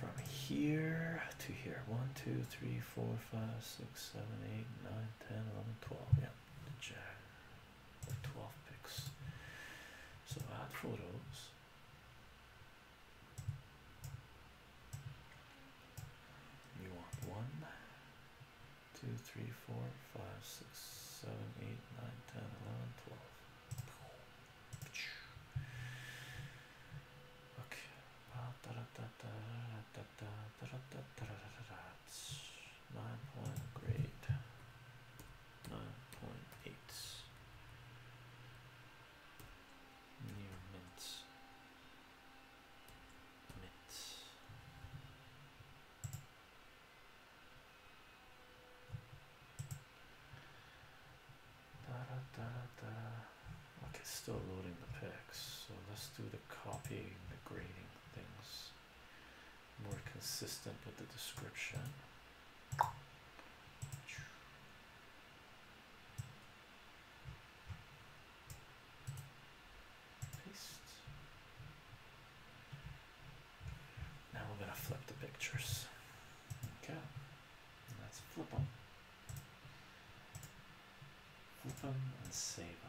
from here to here One, two, three, four, five, six, seven, eight, nine, ten, eleven, twelve. yeah the jack 12 picks. So add photos. You want one, two, three, four, five, six, seven, eight, nine, ten, eleven, twelve. Okay nine point grade da, da, da, da. okay still loading the pics. so let's do the copying the grading things more consistent with the description. Now we're going to flip the pictures. Okay, let's flip them. Flip them and save them.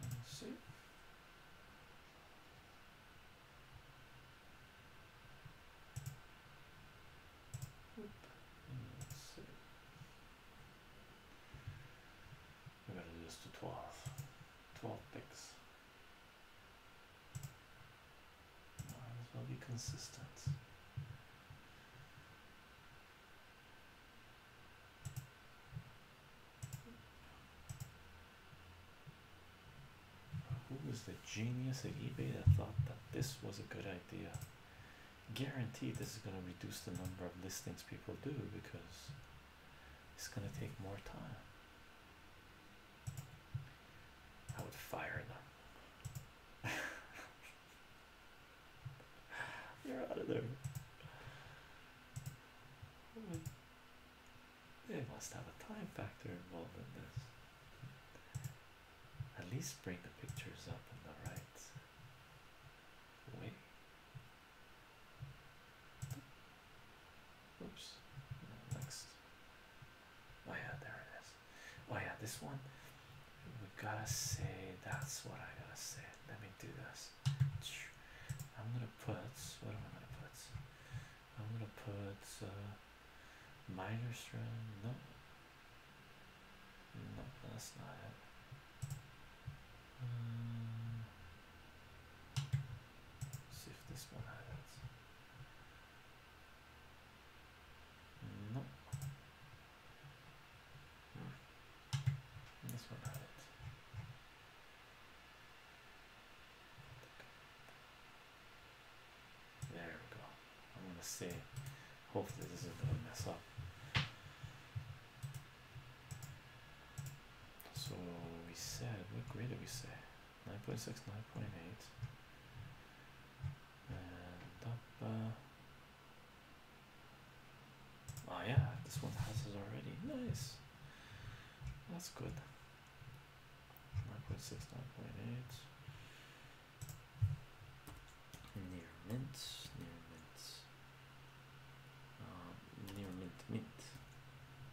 Let's see. We're gonna do this to 12. 12 picks. Might as well be consistent. Who was the genius at eBay that thought that this was a good idea? Guaranteed, this is going to reduce the number of listings people do because it's going to take more time. I would fire them. You're out of there. They must have a time factor involved in this. At least bring the pictures up in the right way. Oops. Next. Oh yeah, there it is. Oh yeah, this one. We gotta say that's what I gotta say. Let me do this. I'm gonna put what am I gonna put? I'm gonna put uh, minor strand. No, no, that's not it. Um, see if this one has it. No. Hmm. This one had it. There we go. I'm gonna see. hopefully, this isn't gonna mess up. So we said, what grade did we say? 9.6, 9.8, and up. Uh, Oh yeah, this one has it already. Nice. That's good. Nine point six, nine point eight. Near mint, near mint. Um, near mint, mint.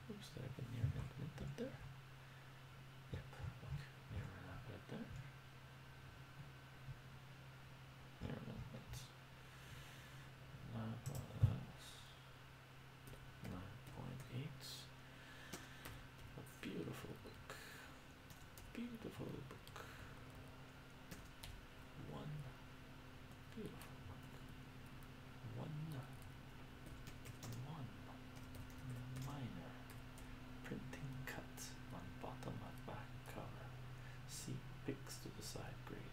Oops, did I put near mint, mint up there? Yep. near mint, I 9.8 a beautiful book beautiful book one beautiful book one one minor printing cut on bottom and back cover see pics to the side grade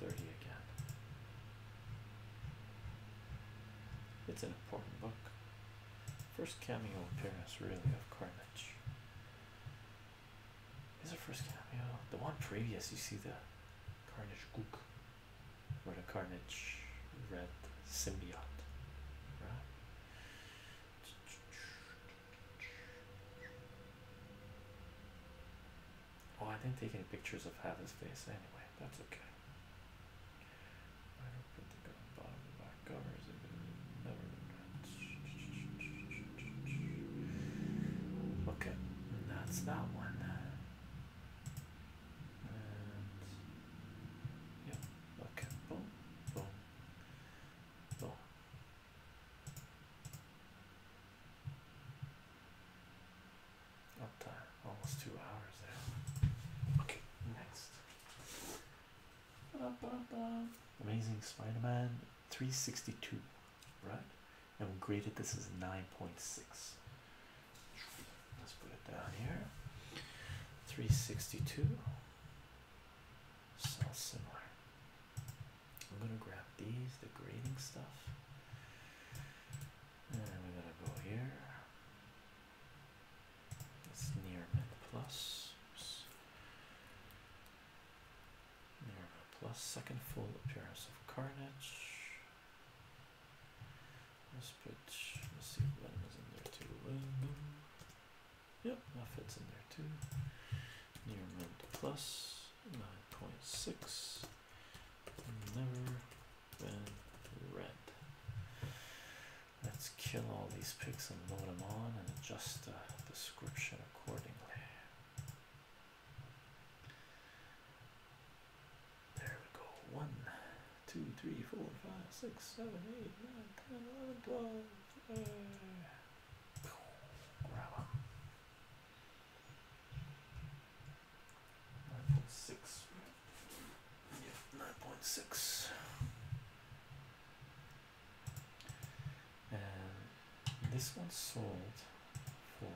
30 again. It's an important book. First cameo appearance, really, of Carnage. Is it first cameo? The one previous, you see the Carnage Gook, or the Carnage Red Symbiote, right? Oh, I didn't take any pictures of Hava's face anyway. That's okay. Okay, that's that one. And yeah, okay, boom, boom, boom. Up almost two hours there. Okay, next. Amazing Spider-Man 362, right? And we graded this as 9.6. Let's put it down here. 362 So similar I'm gonna grab these, the grading stuff, and we're gonna go here. It's near mid plus. Oops. Near mid plus second full appearance of carnage. Let's put let's see if venom is in there too. Yep, that fits in there too. Near mid plus 9.6 never been read let's kill all these pics and load them on and adjust the description accordingly there we go one two three four five six seven eight nine ten eleven twelve 9.6. Yeah, 9.6. And this one sold for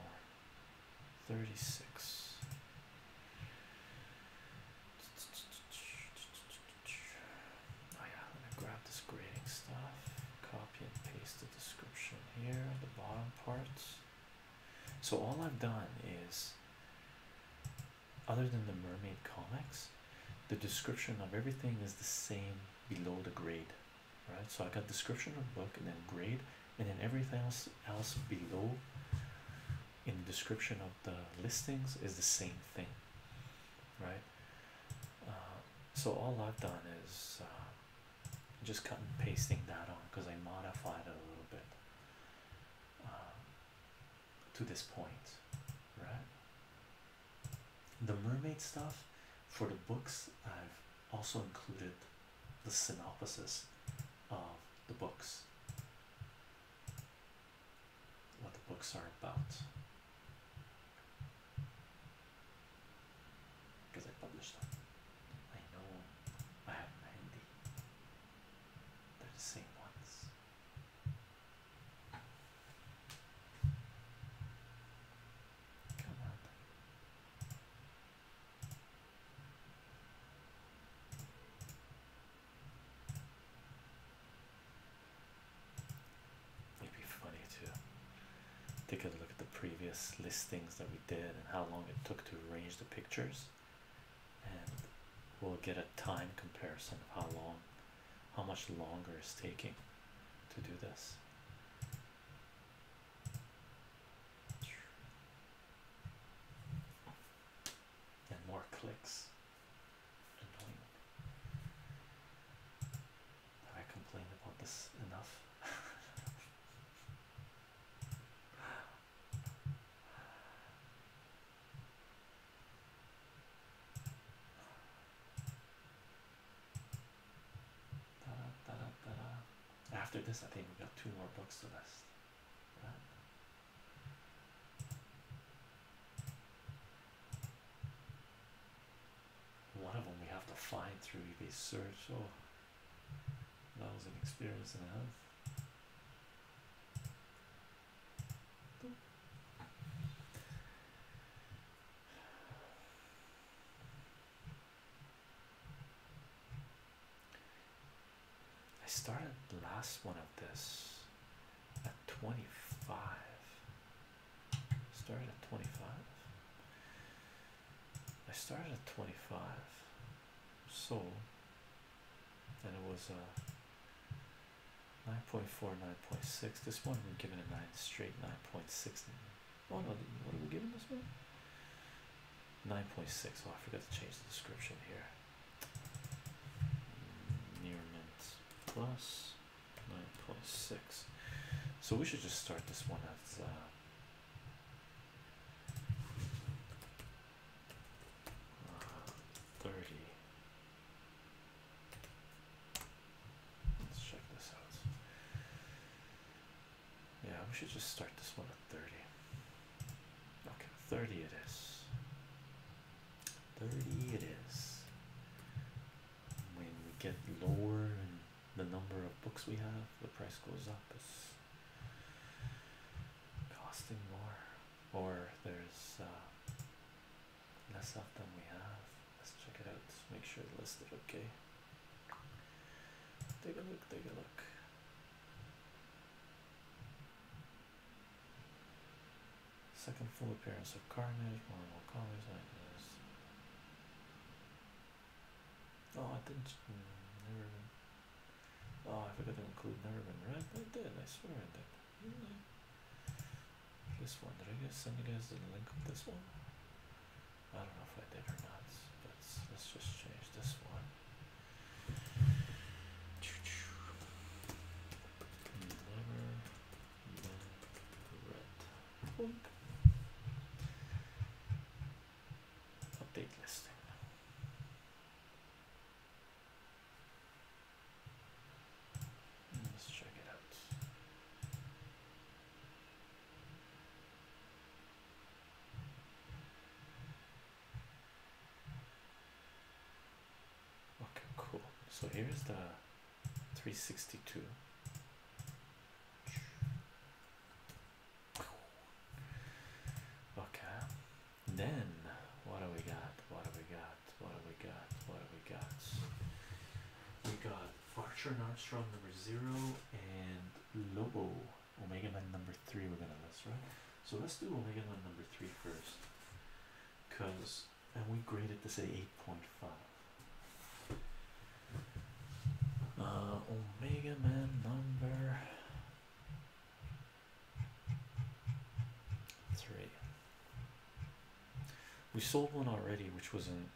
36. Oh yeah, I'm grab this grading stuff, copy and paste description here, the bottom part. So all I've done is, other than the mermaid comics, the description of everything is the same below the grade, right? So I got description of book and then grade, and then everything else else below in the description of the listings is the same thing, right? Uh, so all I've done is uh, just cutting and pasting that on because I modified it a little bit um, to this point, right? The mermaid stuff for the books, I've also included the synopsis of the books, what the books are about because I published them. I know I have ninety. They're the same ones. Come on. would be funny to Take a look at the previous listings that we did and how long it took to arrange the pictures, and we'll get a time comparison of how long, how much longer is taking to do this. And more clicks. Have I complained about this enough? After this, I think we got two more books to list. One of them we have to find through eBay search. Oh. That was an experience and a half. I started the last one of this at 25. Started at 25. I started at 25 so then it was a uh, 9.4 9.6 this one we're giving a 9 straight 9.6 oh no what are we giving this one 9.6 oh I forgot to change the description here near mint plus 9.6 so we should just start this one at uh, uh, 30. Let's check this out. Yeah, we should just start this one at 30. Okay, 30 it is. 30 it is. When we get lower in the number of books we have, the price goes up costing more, or there's uh, less of them we have. Let's check it out, make sure it's listed okay. Take a look, take a look. Second full appearance of Carnage, more and more colors, like this. Oh, I didn't. Hmm, never Oh, I forgot to include never been I did. I swear I did. This one. Did I guys send you guys the link of this one? I don't know if I did or not. Let's let's just change this one. Never been read update listing let's check it out okay cool so here's the 362 Okay, then what do we got? What do we got? What do we got? What do we got? We got Archer and Armstrong number zero and Lobo Omega Man number three. We're gonna list right. So let's do Omega Man number three first, cause and we graded this at eight point five. Uh, Omega Man number three. We sold one already, which was in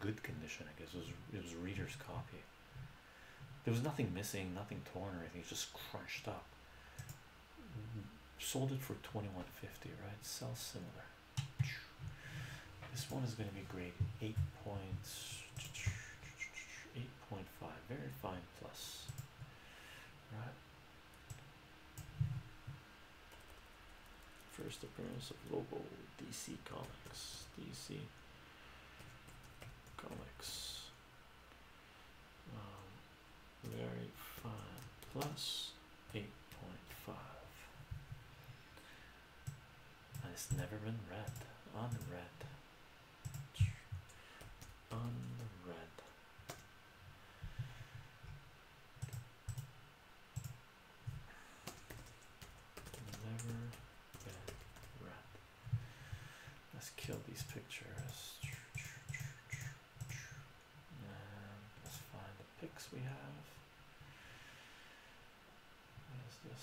good condition. I guess it was it was reader's copy. There was nothing missing, nothing torn or anything. It's just crunched up. Sold it for twenty one fifty, right? Sell similar. This one is going to be grade eight points. 8.5 very fine plus right first appearance of logo DC comics DC comics um, very fine plus plus. 8.5 and it's never been read. Unread, unread. Never been read. Let's kill these pictures. And let's find the pics we have. What is this?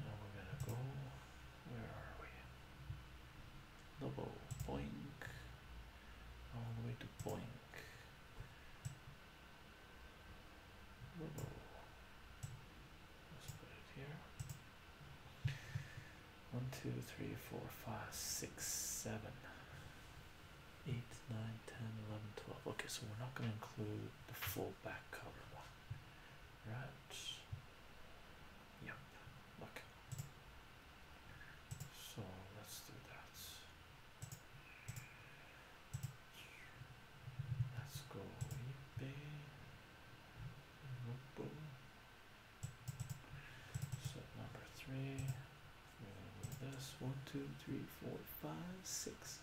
And we're gonna go where are we? Double boink all the way to boink. Double. Let's put it here. One, two, three, four, five, six, seven. 8, 9, 10, 11, 12. Okay, so we're not going to include the full back cover one, right? Yep, look. So let's do that. Let's go eBay. So number three. We're gonna do this one, two, three, four, five, six,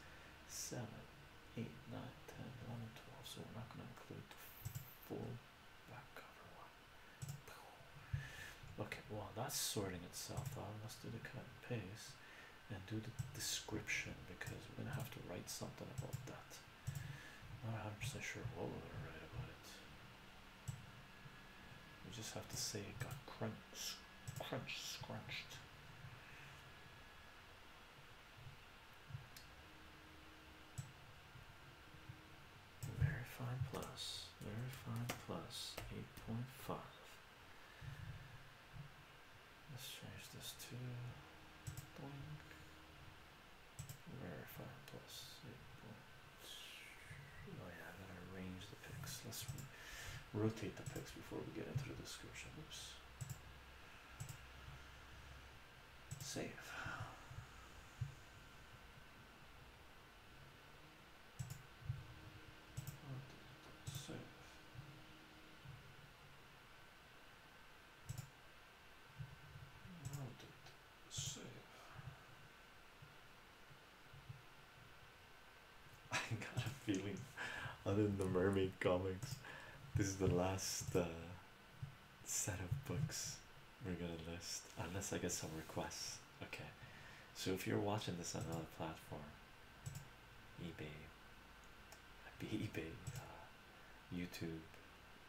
seven, 8, 9, 10, 11, 12. So we're not going to include the full back cover one. Okay, well, that's sorting itself out. Let's do the cut and paste and do the description because we're going to have to write something about that. Not 100% sure what we're going to write about it. We just have to say it got crunched, crunch, scrunched. Verify plus, verify plus 8.5. Let's change this to boink. Verify plus 8.2. Oh, yeah, I'm going to arrange the pics. Let's rotate the pics before we get into the description. Save. Save. Save. I got a feeling other than the mermaid comics this is the last uh, set of books we're gonna list, unless I get some requests. Okay, so if you're watching this on another platform, eBay, eBay, uh, YouTube,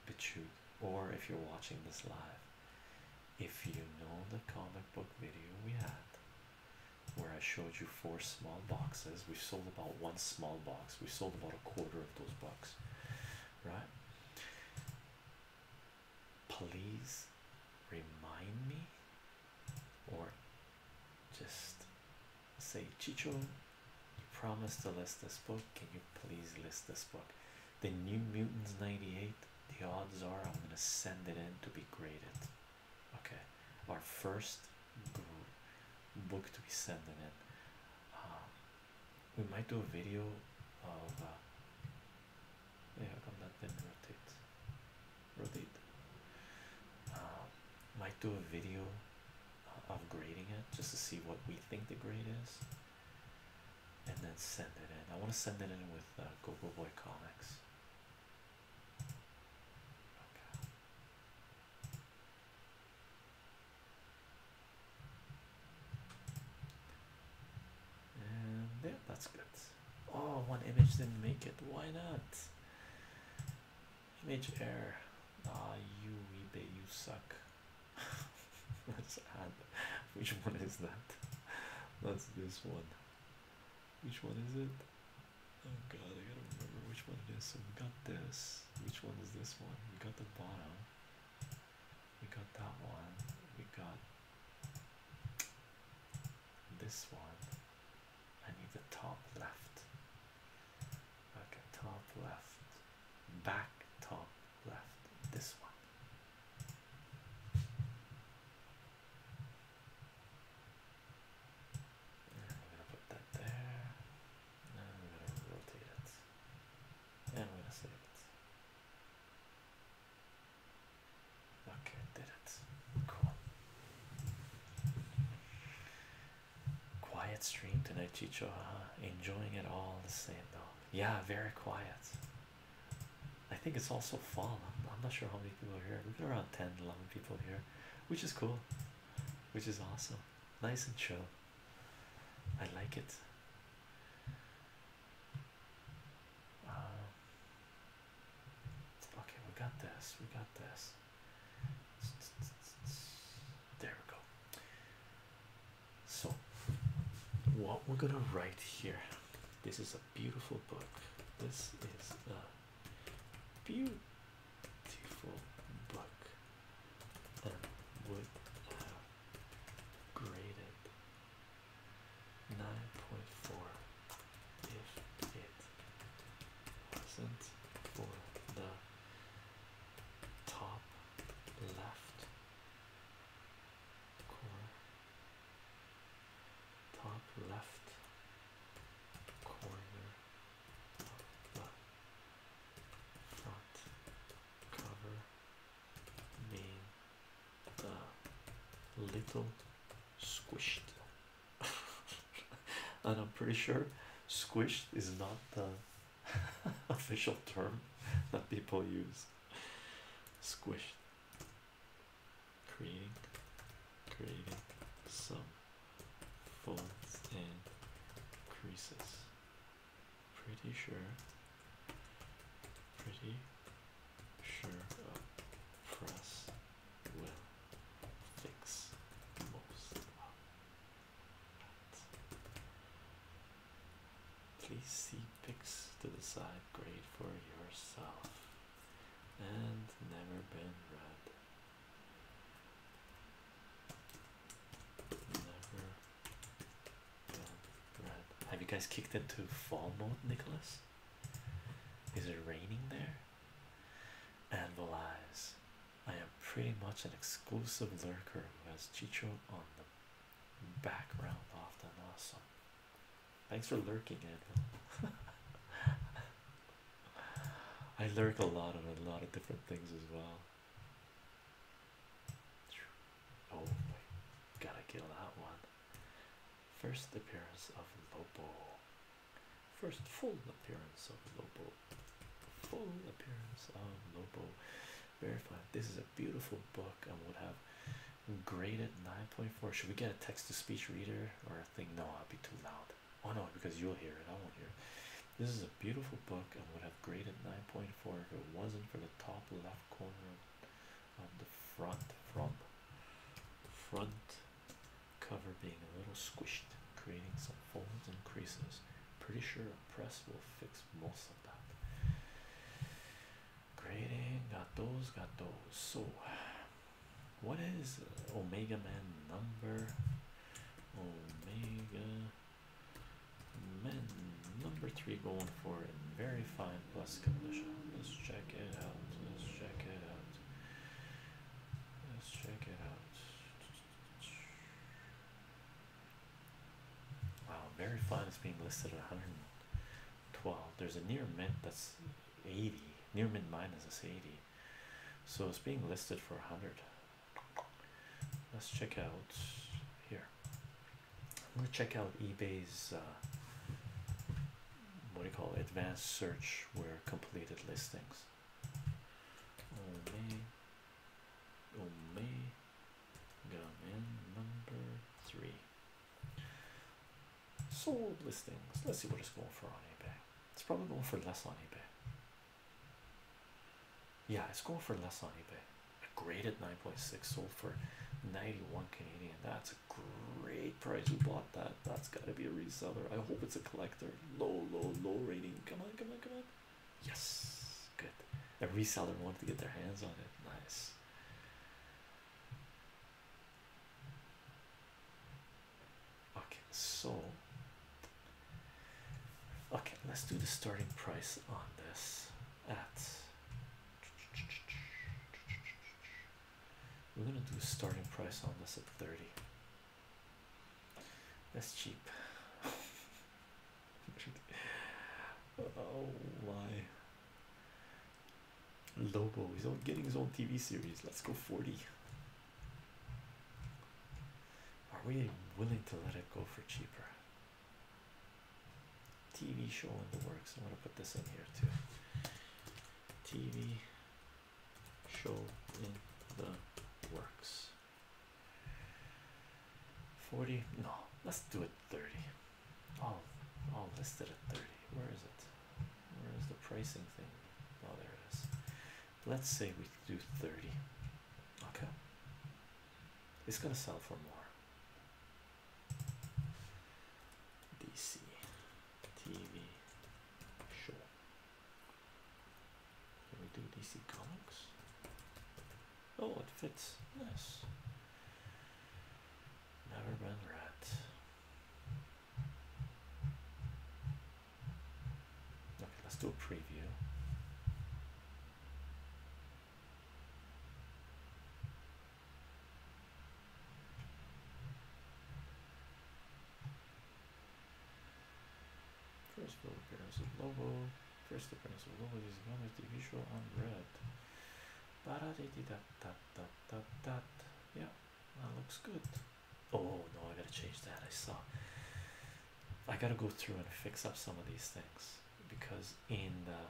BitChute, or if you're watching this live, if you know the comic book video we had, where I showed you four small boxes. We sold about one small box, we sold about a quarter of those bucks, right? Please remind me, or just say, Chicho, you promised to list this book. Can you please list this book? The New Mutants 98. The odds are I'm going to send it in to be graded. Okay, our first book to be sending in. Um, we might do a video of. Uh, yeah, come that did rotate. Rotate. Um, might do a video of grading it just to see what we think the grade is, and then send it in. I want to send it in with uh, Google Boy Comics yeah, that's good. Oh, one image didn't make it. Why not? Image error. Ah, you eBay, you suck. Let's add. Which one is that? That's this one. Which one is it? Oh god, I gotta remember which one it is. So we got this. Which one is this one? We got the bottom. We got that one. We got this one. I need the top left. Okay, top left. Back top left. This one. And I'm gonna put that there. And I'm gonna rotate it. And I'm gonna save it. Okay, did it. Cool. Quiet stream tonight, Chicho. Enjoying it all the same though. Yeah, very quiet. I think it's also fall. I'm, not sure how many people are here. We've got around 10, 11 people here, which is cool, which is awesome nice and chill. I like it. Um, okay, we got this. We got this. There we go. So, what we're gonna write here this is a beautiful book. This is a beautiful book than would have graded 9.4 if it wasn't for the top left corner top left corner not cover the little squished and I'm pretty sure squished is not the official term that people use squished creating creating some folds and creases. Pretty sure, pretty sure a press will fix most of that. Please see pics to the side grade for yourself and never been red. Have you guys kicked into fall mode, Nicholas? Is it raining there? Anvil eyes. I am pretty much an exclusive lurker who has Chicho on the background often. Awesome. Thanks for lurking, Anvil. I lurk a lot on a lot of different things as well. Oh boy, gotta kill that one. First appearance of Lobo. First full appearance of Lobo. Full appearance of Lobo. Very Verified. This is a beautiful book and would have graded 9.4. Should we get a text to speech reader or a thing? No, I'll be too loud. Oh no, because you'll hear it. I won't hear it. This is a beautiful book and would have graded 9.4 if it wasn't for the top left corner of the front from front cover being a little squished, creating some folds and creases. Pretty sure a press will fix most of that. Grading, got those, got those. So, what is Omega Man number? Omega Men number three going for it. Very fine plus condition. Let's check it out. Let's check it out. Let's check it out. Wow, very fine It's being listed at 112. There's a near mint that's 80. Near mint minus is 80. So it's being listed for 100. Let's check out here. I'm gonna check out eBay's uh, what do you call it? Advanced search where completed listings. Ome, oh, Ome, oh, got in number three. Sold listings. Let's see what it's going for on eBay. It's probably going for less on eBay. Yeah, it's going for less on eBay. A graded 9.6 sold for 91 Canadian. That's a great price. We bought that. That's got to be a reseller. I hope it's a collector. Low, low, low rating. Come on, come on, come on. Yes, good. A reseller wanted to get their hands on it. Nice. Okay, so Okay, let's do the starting price on this at we're gonna do a starting price on this at 30. That's cheap. oh my Lobo, he's getting his own TV series. Let's go 40. Are we willing to let it go for cheaper? TV show in the works. I'm gonna put this in here too. TV show in the works. 40 no let's do it 30 oh oh listed at 30 where is it where is the pricing thing oh there it is let's say we do 30 Okay, it's gonna sell for more. DC TV show. Can we do DC Comics? Oh, it fits. Nice. Never been read. Okay, let's do a preview. First full appearance of Lobo. First appearance of Lobo is known as the visual on red. Yeah, that looks good. Oh no, I gotta change that. I saw I gotta go through and fix up some of these things because in the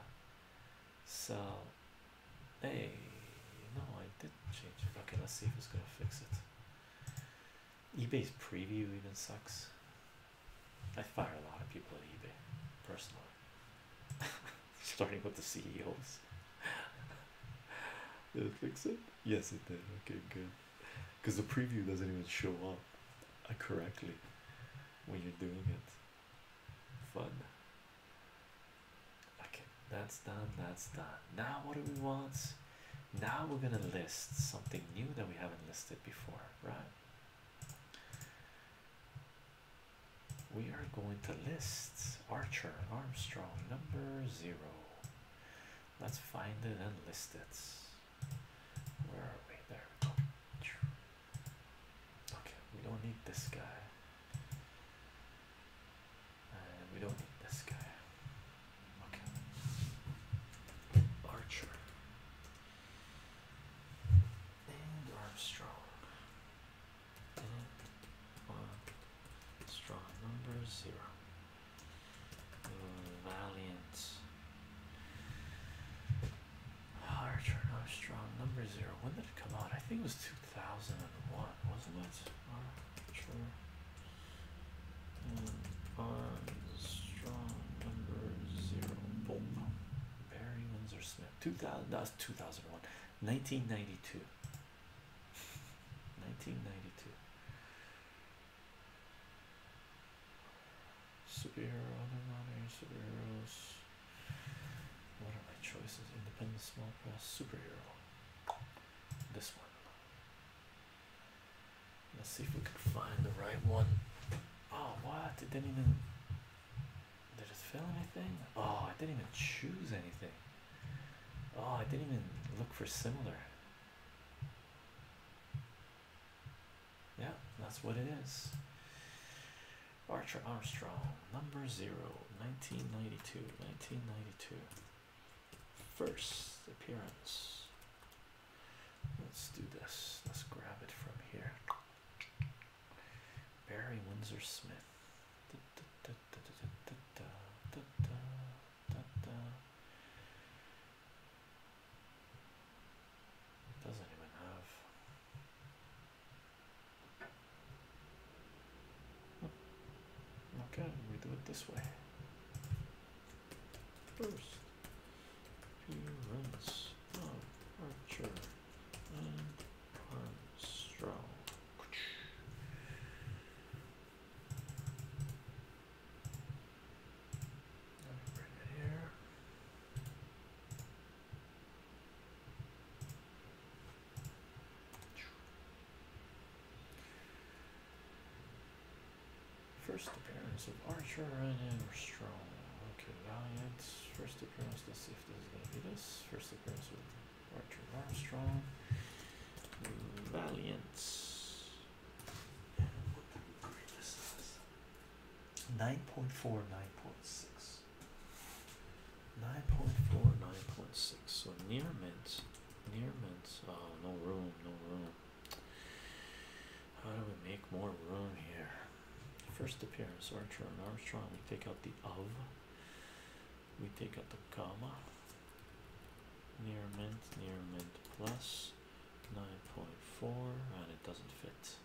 cell hey no I did change it okay let's see if it's gonna fix it eBay's preview even sucks I fire a lot of people at eBay personally starting with the CEOs did it fix it yes it did okay good because the preview doesn't even show up uh, correctly when you're doing it. Fun. Okay, that's done. That's done. Now, what do we want? Now we're gonna list something new that we haven't listed before, right? We are going to list Archer Armstrong number zero. Let's find it and list it. Where are we? There Okay, we don't need this guy. we don't need this guy. Okay. Archer. And Armstrong. And one uh, strong number zero. Mm, Valiant. Archer Armstrong, number zero. When did it come out? I think it was 2001, wasn't it? True. and mm, Armstrong, number zero. Boom. Barry Windsor Smith. 2000, that 2001. 1992. 1992. Superhero, other modern superheroes. What are my choices? Independent small press superhero. This one. Let's see if we can find the right one. Oh, what? It didn't even. Did it fill anything? Oh, I didn't even choose anything. Oh, I didn't even look for similar. Yeah, that's what it is. Archer Armstrong, number zero, 1992, 1992. First appearance. Let's do this. Let's grab it from here. Barry Windsor Smith. Doesn't even have. Hmm. Okay, we do it this way. First, appearance of Archer and Armstrong. First appearance of Archer and Armstrong. Okay, Valiant. First appearance. Let's see if this is gonna be this. First appearance with Archer Armstrong. Valiant. And what the this 9.4, 9.6. So near mint, near mint. Oh, no room, no room. How do we make more room here? First appearance, Archer and Armstrong. We take out the of, we take out the comma. Near mint, near mint plus 9.4, and it doesn't fit.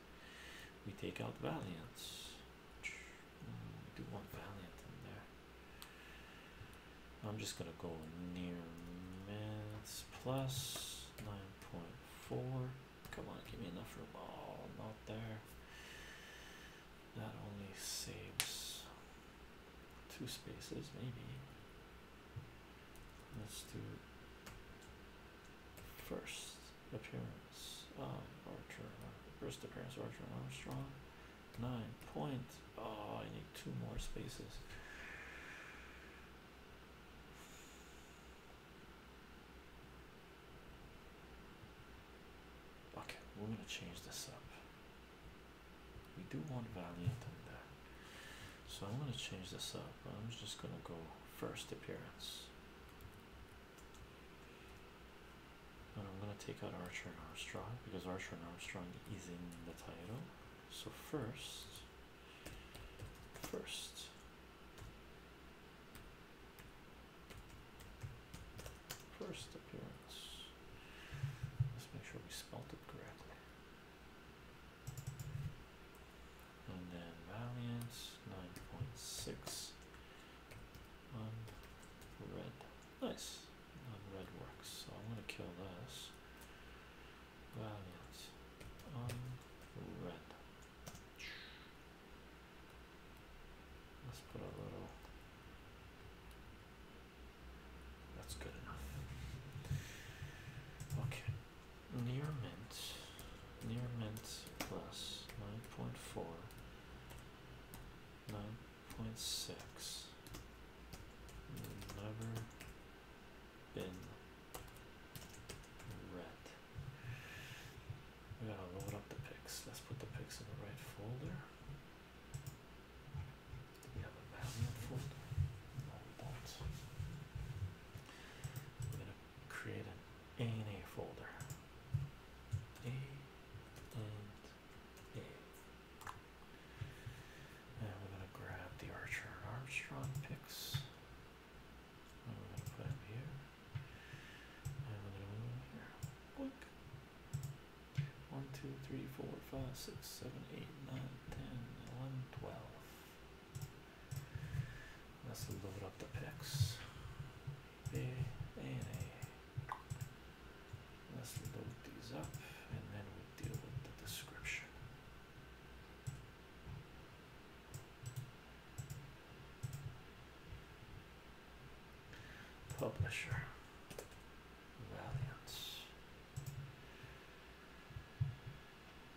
We take out Valiant. Mm, do one Valiant in there. I'm just gonna go near minutes plus nine point four. Come on, give me enough room. Oh, not there. That only saves two spaces, maybe let's do first appearance of Archer first appearance of Archer Armstrong nine point oh I need two more spaces okay we're gonna change this up we do want Valiant in there so I'm going to change this up. I'm just going to go first appearance. And I'm going to take out Archer and Armstrong because Archer and Armstrong is in the title. So first, first. First appearance. Let's make sure we spelled it correctly and then Valiant nine point six on red. Nice on red works. So I'm gonna kill this. Valiant on red. Let's put a little. That's good enough. Okay near mint near mint plus 9.4 9.6 never been red we gotta load up the pics let's put the pics in the right folder do we have a value folder create an A and A folder. A and A. And we're gonna grab the Archer Armstrong picks. we're gonna put them here. And we're gonna move them here. One, two, three, four, five, six, seven, eight, nine, ten, eleven, twelve. Let's load up the pics. A and A. Let's load these up and then we will deal with the description. Publisher Valiance.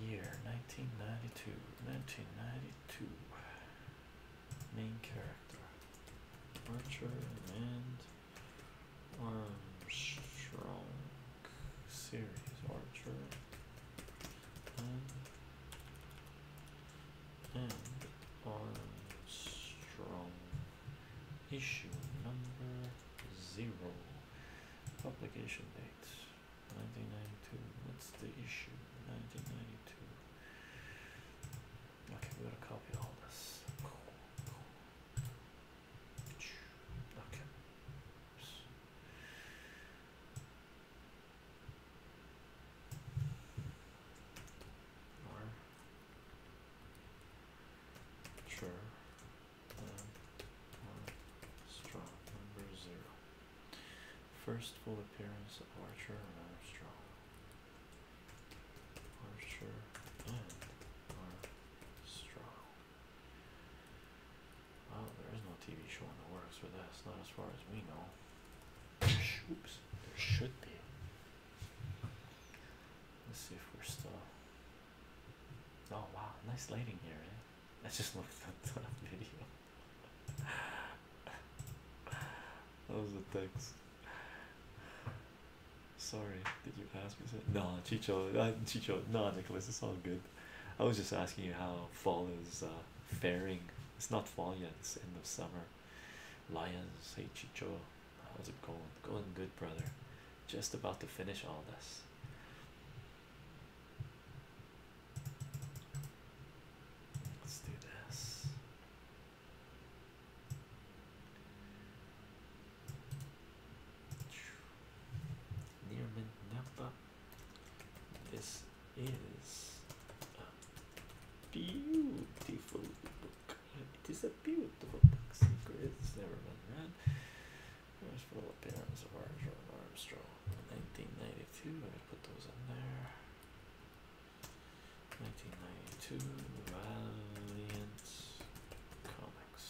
year 1992 1992 main character Archer and Armstrong series Archer and and Armstrong issue number zero publication date 1992. What's the issue? 1992. Okay, we gotta copy all this. Sure. Um, strong number zero. First full appearance of Archer and Armstrong. Archer and Armstrong. Wow, there is no TV show in the works for this, not as far as we know. Oops, there should be. Let's see if we're still. Oh wow, nice lighting here. Eh? I just looked at that video that was the text. Sorry, did you ask me? Something? No, Chicho, uh, Chicho, no, Nicholas, it's all good. I was just asking you how fall is uh, faring. It's not fall yet, it's end of summer. Lions, hey Chicho, how's it going? Going good, brother. Just about to finish all this. Let's do this. Near Napa. This is a beautiful book. It is a beautiful book. Secrets never been read. First full appearance of Armstrong. Armstrong, 1992 put those in there. 1992 Valiant Comics.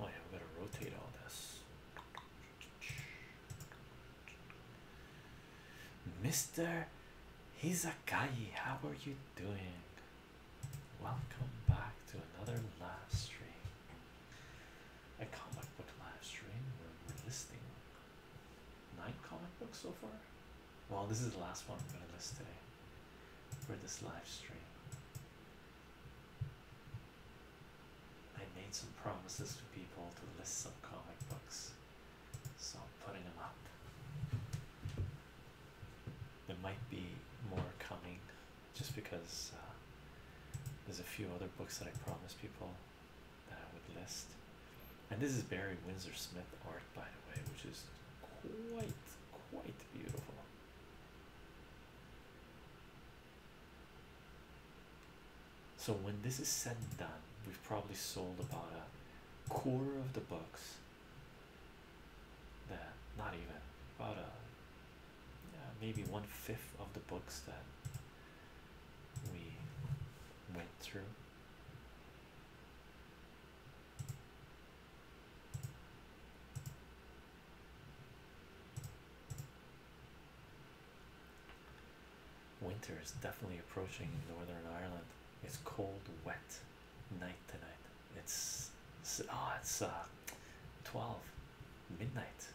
Oh, yeah, we gotta rotate all this. Mr. Hizakagi, how are you doing? Welcome back to another live stream, a comic book live stream we're listing nine comic books so far. Well, this is the last one I'm going to list today for this live stream. I made some promises to people to list some comic books, so I'm putting them up. There might be more coming just because uh, there's a few other books that I promised people that I would list. And this is Barry Windsor Smith art, by the way, which is quite, quite beautiful. So, when this is said and done, we've probably sold about a quarter of the books that not even about uh, a maybe one fifth of the books that we went through. Winter is definitely approaching in Northern Ireland. It's cold, wet night tonight. It's, it's oh, it's uh, 12 midnight,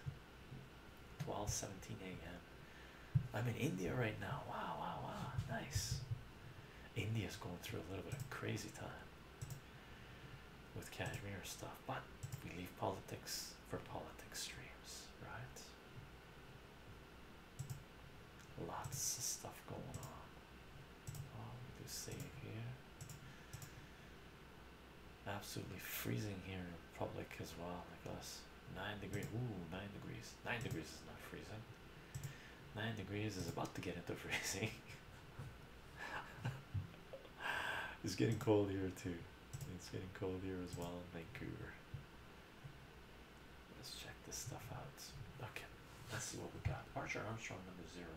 12 17 a.m. I'm in India right now. Wow, wow, wow, nice. India's going through a little bit of crazy time with Kashmir stuff, but we leave politics for politics streams, right? Lots of stuff going on. Oh, let's save here. Absolutely freezing here in public as well, like us. Nine degrees. Ooh, nine degrees. Nine degrees is not freezing. Nine degrees is about to get into freezing. it's getting cold here too. It's getting cold here as well in Vancouver. Let's check this stuff out. Okay, let's see what we got. Archer Armstrong number zero,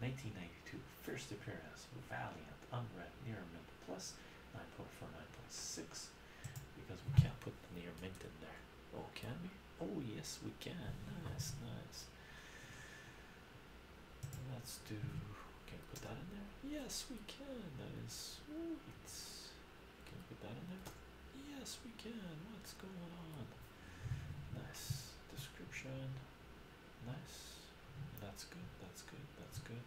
1992. First appearance, Valiant, Unread, Near Mint Plus, 9.4, 9.6. Because we can't put the Near Mint in there. Oh, can we? Oh, yes, we can. Nice, nice. Let's do. Can we put that in there? Yes, we can. That is sweet. Can we put that in there? Yes, we can. What's going on? Nice description. Nice. That's good. That's good. That's good.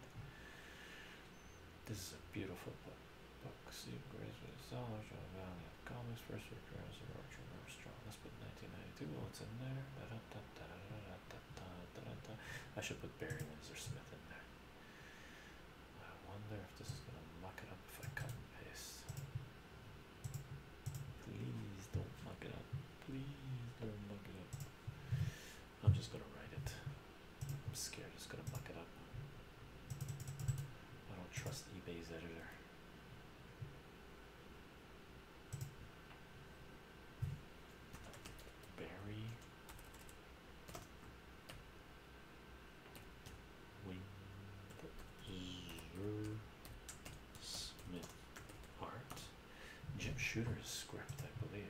This is a beautiful book. Book. Steve Grace with knowledge of comics. First appearance of Archer Armstrong. Let's put 1992. What's in there? I should put Barry Windsor Smith in there. I wonder if this is gonna muck it up if I cut and paste. Please don't fuck it up. Please don't fuck it up. I'm just gonna write it. I'm scared it's gonna fuck it up. I am just going to write it i am scared i am just going to fuck it up i do not trust eBay's editor. Barry Wing. Smith Hart, Jim Shooter's script, I believe.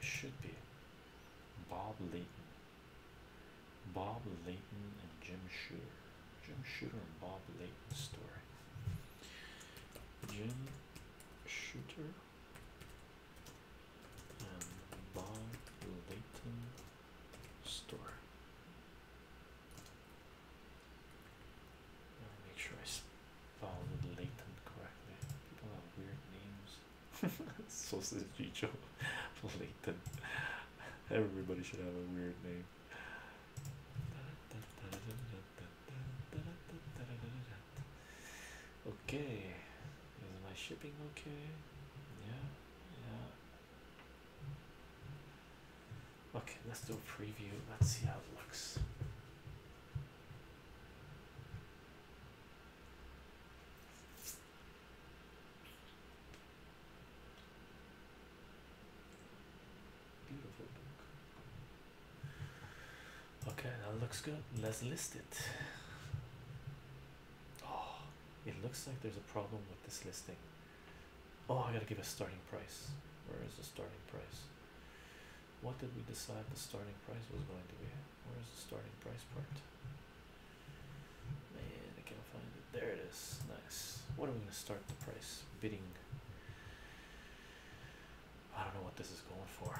should be. Bob Layton. Bob Layton and Jim Shooter. Jim Shooter and Bob Layton story. Jim Shooter and Bob Layton story. Make sure I spelled Leighton correctly. People have weird names. Sausage Chicho Leighton. Everybody should have a weird name. Okay, is my shipping okay? Yeah, yeah. Okay, let's do a preview. Let's see how it looks. Beautiful book. Okay, that looks good. Let's list it. Oh, it looks like there's a problem with this listing oh i gotta give a starting price where is the starting price what did we decide the starting price was going to be where is the starting price part man i can't find it there it is nice what are we going to start the price bidding i don't know what this is going for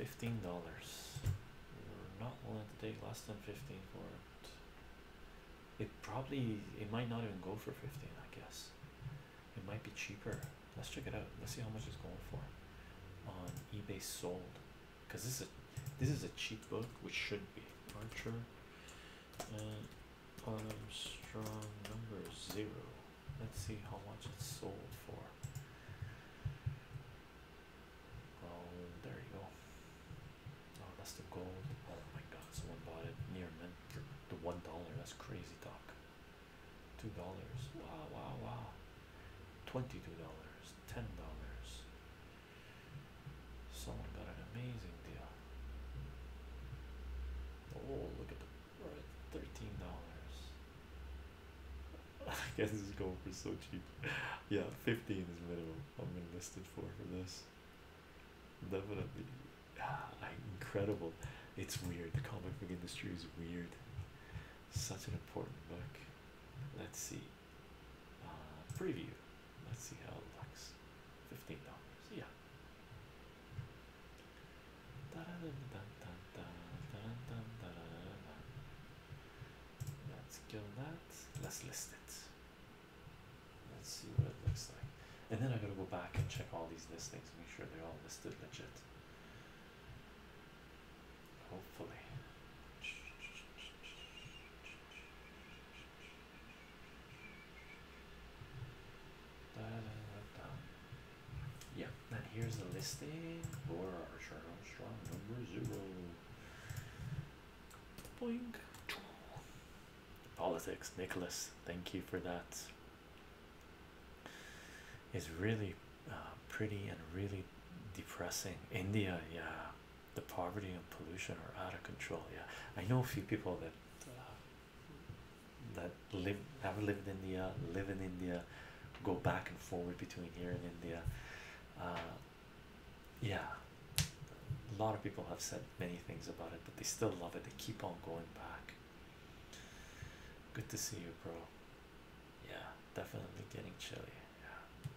$15 we're not willing to take less than 15 for it it probably it might not even go for 15 i guess it might be cheaper. Let's check it out. Let's see how much it's going for on eBay sold. Because this is a, this is a cheap book, which should be Archer and Strong number zero. Let's see how much it's sold for. Oh, there you go. Oh, that's the gold. Oh my God, someone bought it near me the one dollar that's crazy talk two dollars wow wow wow twenty two dollars ten dollars someone got an amazing deal oh look at the thirteen dollars I guess this is going for so cheap. Yeah, fifteen is minimum. I'm gonna list it for for this. Definitely like ah, incredible. It's weird. The comic book industry is weird. Such an important book. Let's see. Uh, preview. Let's see how it looks. Fifteen dollars. Yeah. Let's kill that. Let's list it. Let's see what it looks like. And then I gotta go back and check all these listings, make sure they're all listed legit. Hopefully. yeah, and here's the listing for Archer Armstrong number zero. Boink. Politics, Nicholas. Thank you for that. It's really uh, pretty and really depressing. India, yeah, the poverty and pollution are out of control. Yeah, I know a few people that uh, that live have lived in India, live in India, go back and forward between here and India. Uh, yeah, a lot of people have said many things about it, but they still love it. They keep on going back. Good to see you, bro. Yeah, definitely getting chilly. Yeah.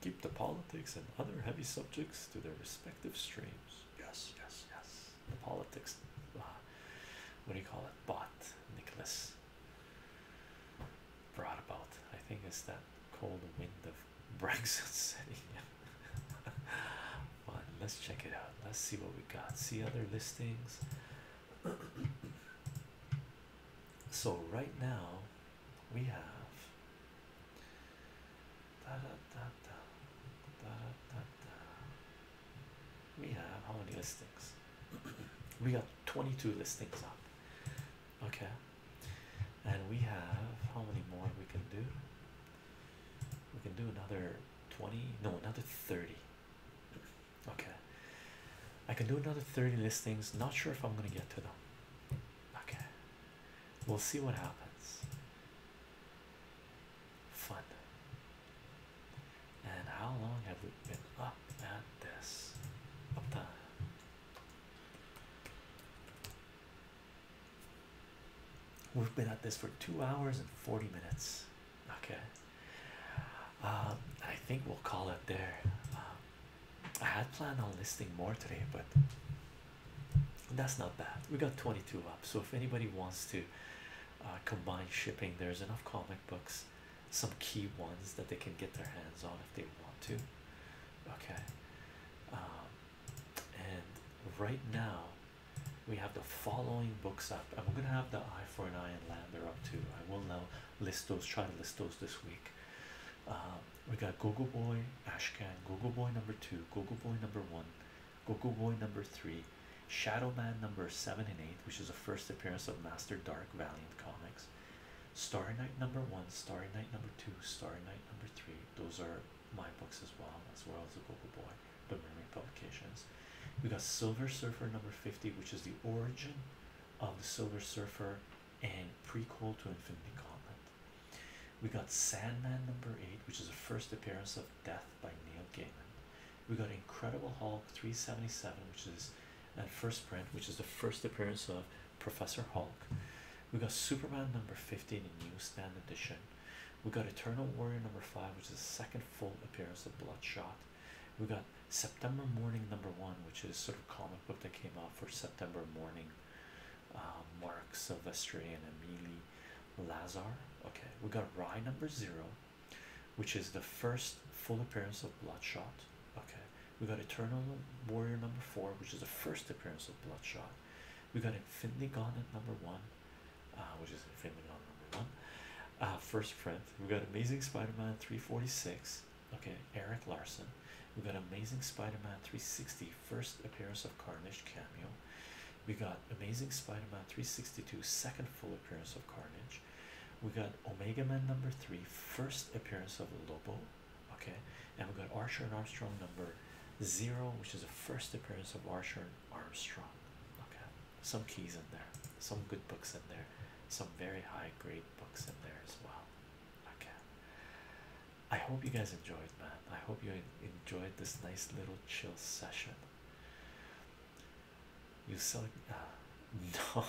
Keep the politics and other heavy subjects to their respective streams. Yes, yes, yes. The politics. Uh, what do you call it? Bot Nicholas brought about. I think it's that cold wind of Brexit City let's check it out. Let's see what we got. See other listings. so right now we have we have how many listings? we got 22 listings up. Okay. And we have how many more we can do? we can do another 20 no another 30 okay i can do another 30 listings not sure if i'm gonna get to them okay we'll see what happens fun and how long have we been at this up time We've been at this for two hours and 40 minutes. Okay. Um, I think we'll call it there. Um, I had planned on listing more today, but that's not bad. We got 22 up. So if anybody wants to uh, combine shipping, there's enough comic books, some key ones that they can get their hands on if they want to. Okay. Um, and right now, we have the following books up. and we're gonna have the eye for an eye and Land lander up too. I will now list those, try to list those this week. Uh, we got Gogo Boy Ashcan, Gogo Boy number two, Gogo Boy number one, Gogo Boy number three, Shadow Man number seven and eight, which is the first appearance of Master Dark Valiant Comics, Starry Night number one, Starry Night number two, Starry Night number three. Those are my books as well as well as the Google Boy, but Mermaid Publications. We got Silver Surfer number 50, which is the origin of the Silver Surfer and prequel to Infinity Gauntlet. We got Sandman number 8, which is the first appearance of Death by Neil Gaiman. We got Incredible Hulk 377, which is a first print, which is the first appearance of Professor Hulk. We got Superman number 15 in newsstand edition we got Eternal Warrior number five, which is the second full appearance of Bloodshot. We got September Morning number one, which is sort of comic book that came out for September morning. Uh, Mark Silvestri and Emily Lazar. Okay, we got Rye number zero, which is the first full appearance of Bloodshot. Okay, we got Eternal Warrior number four, which is the first appearance of Bloodshot. We got Infinity Gauntlet number one, uh, which is Infinity on number one. Uh, first print, we've got Amazing Spider-Man 346. Okay, Eric Larson. We've got Amazing Spider-Man 360, first appearance of Carnage cameo. We got Amazing Spider-Man 362, second full appearance of Carnage. We got Omega Man number three, first appearance of Lobo. Okay, and we got Archer and Armstrong number zero, which is the first appearance of Archer Armstrong. Okay, some keys in there, some good books in there, some very high grade books in there as well. Okay, I hope you guys enjoyed, man. I hope you enjoyed this nice little chill session. You saw, uh, no,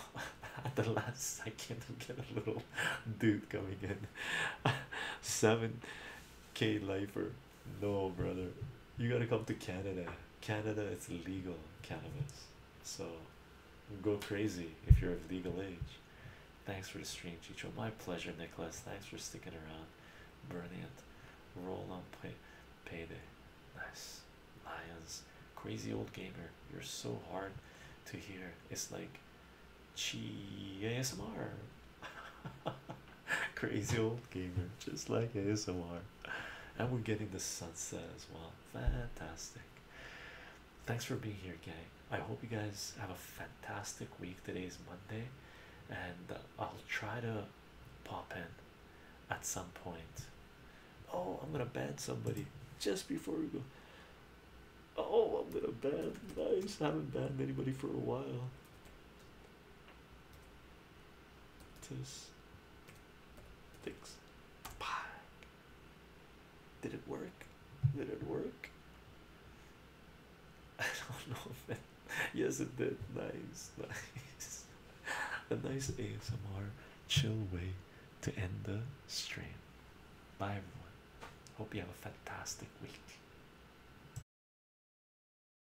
at the last second, we get a little dude coming in. 7k lifer no brother you gotta come to canada canada it's legal cannabis so go crazy if you're of legal age thanks for the stream chicho my pleasure nicholas thanks for sticking around brilliant roll on pay day. nice lions crazy old gamer you're so hard to hear it's like chi asmr Crazy old gamer, just like ASMR. And we're getting the sunset as well. Fantastic. Thanks for being here, gang. I hope you guys have a fantastic week. Today is Monday, and uh, I'll try to pop in at some point. Oh, I'm gonna ban somebody just before we go. Oh, I'm gonna ban. Nice, I haven't banned anybody for a while. Tis Did it work? Did it work? I don't know if it yes it did. Nice, nice. A nice ASMR chill way to end the stream. Bye everyone. Hope you have a fantastic week.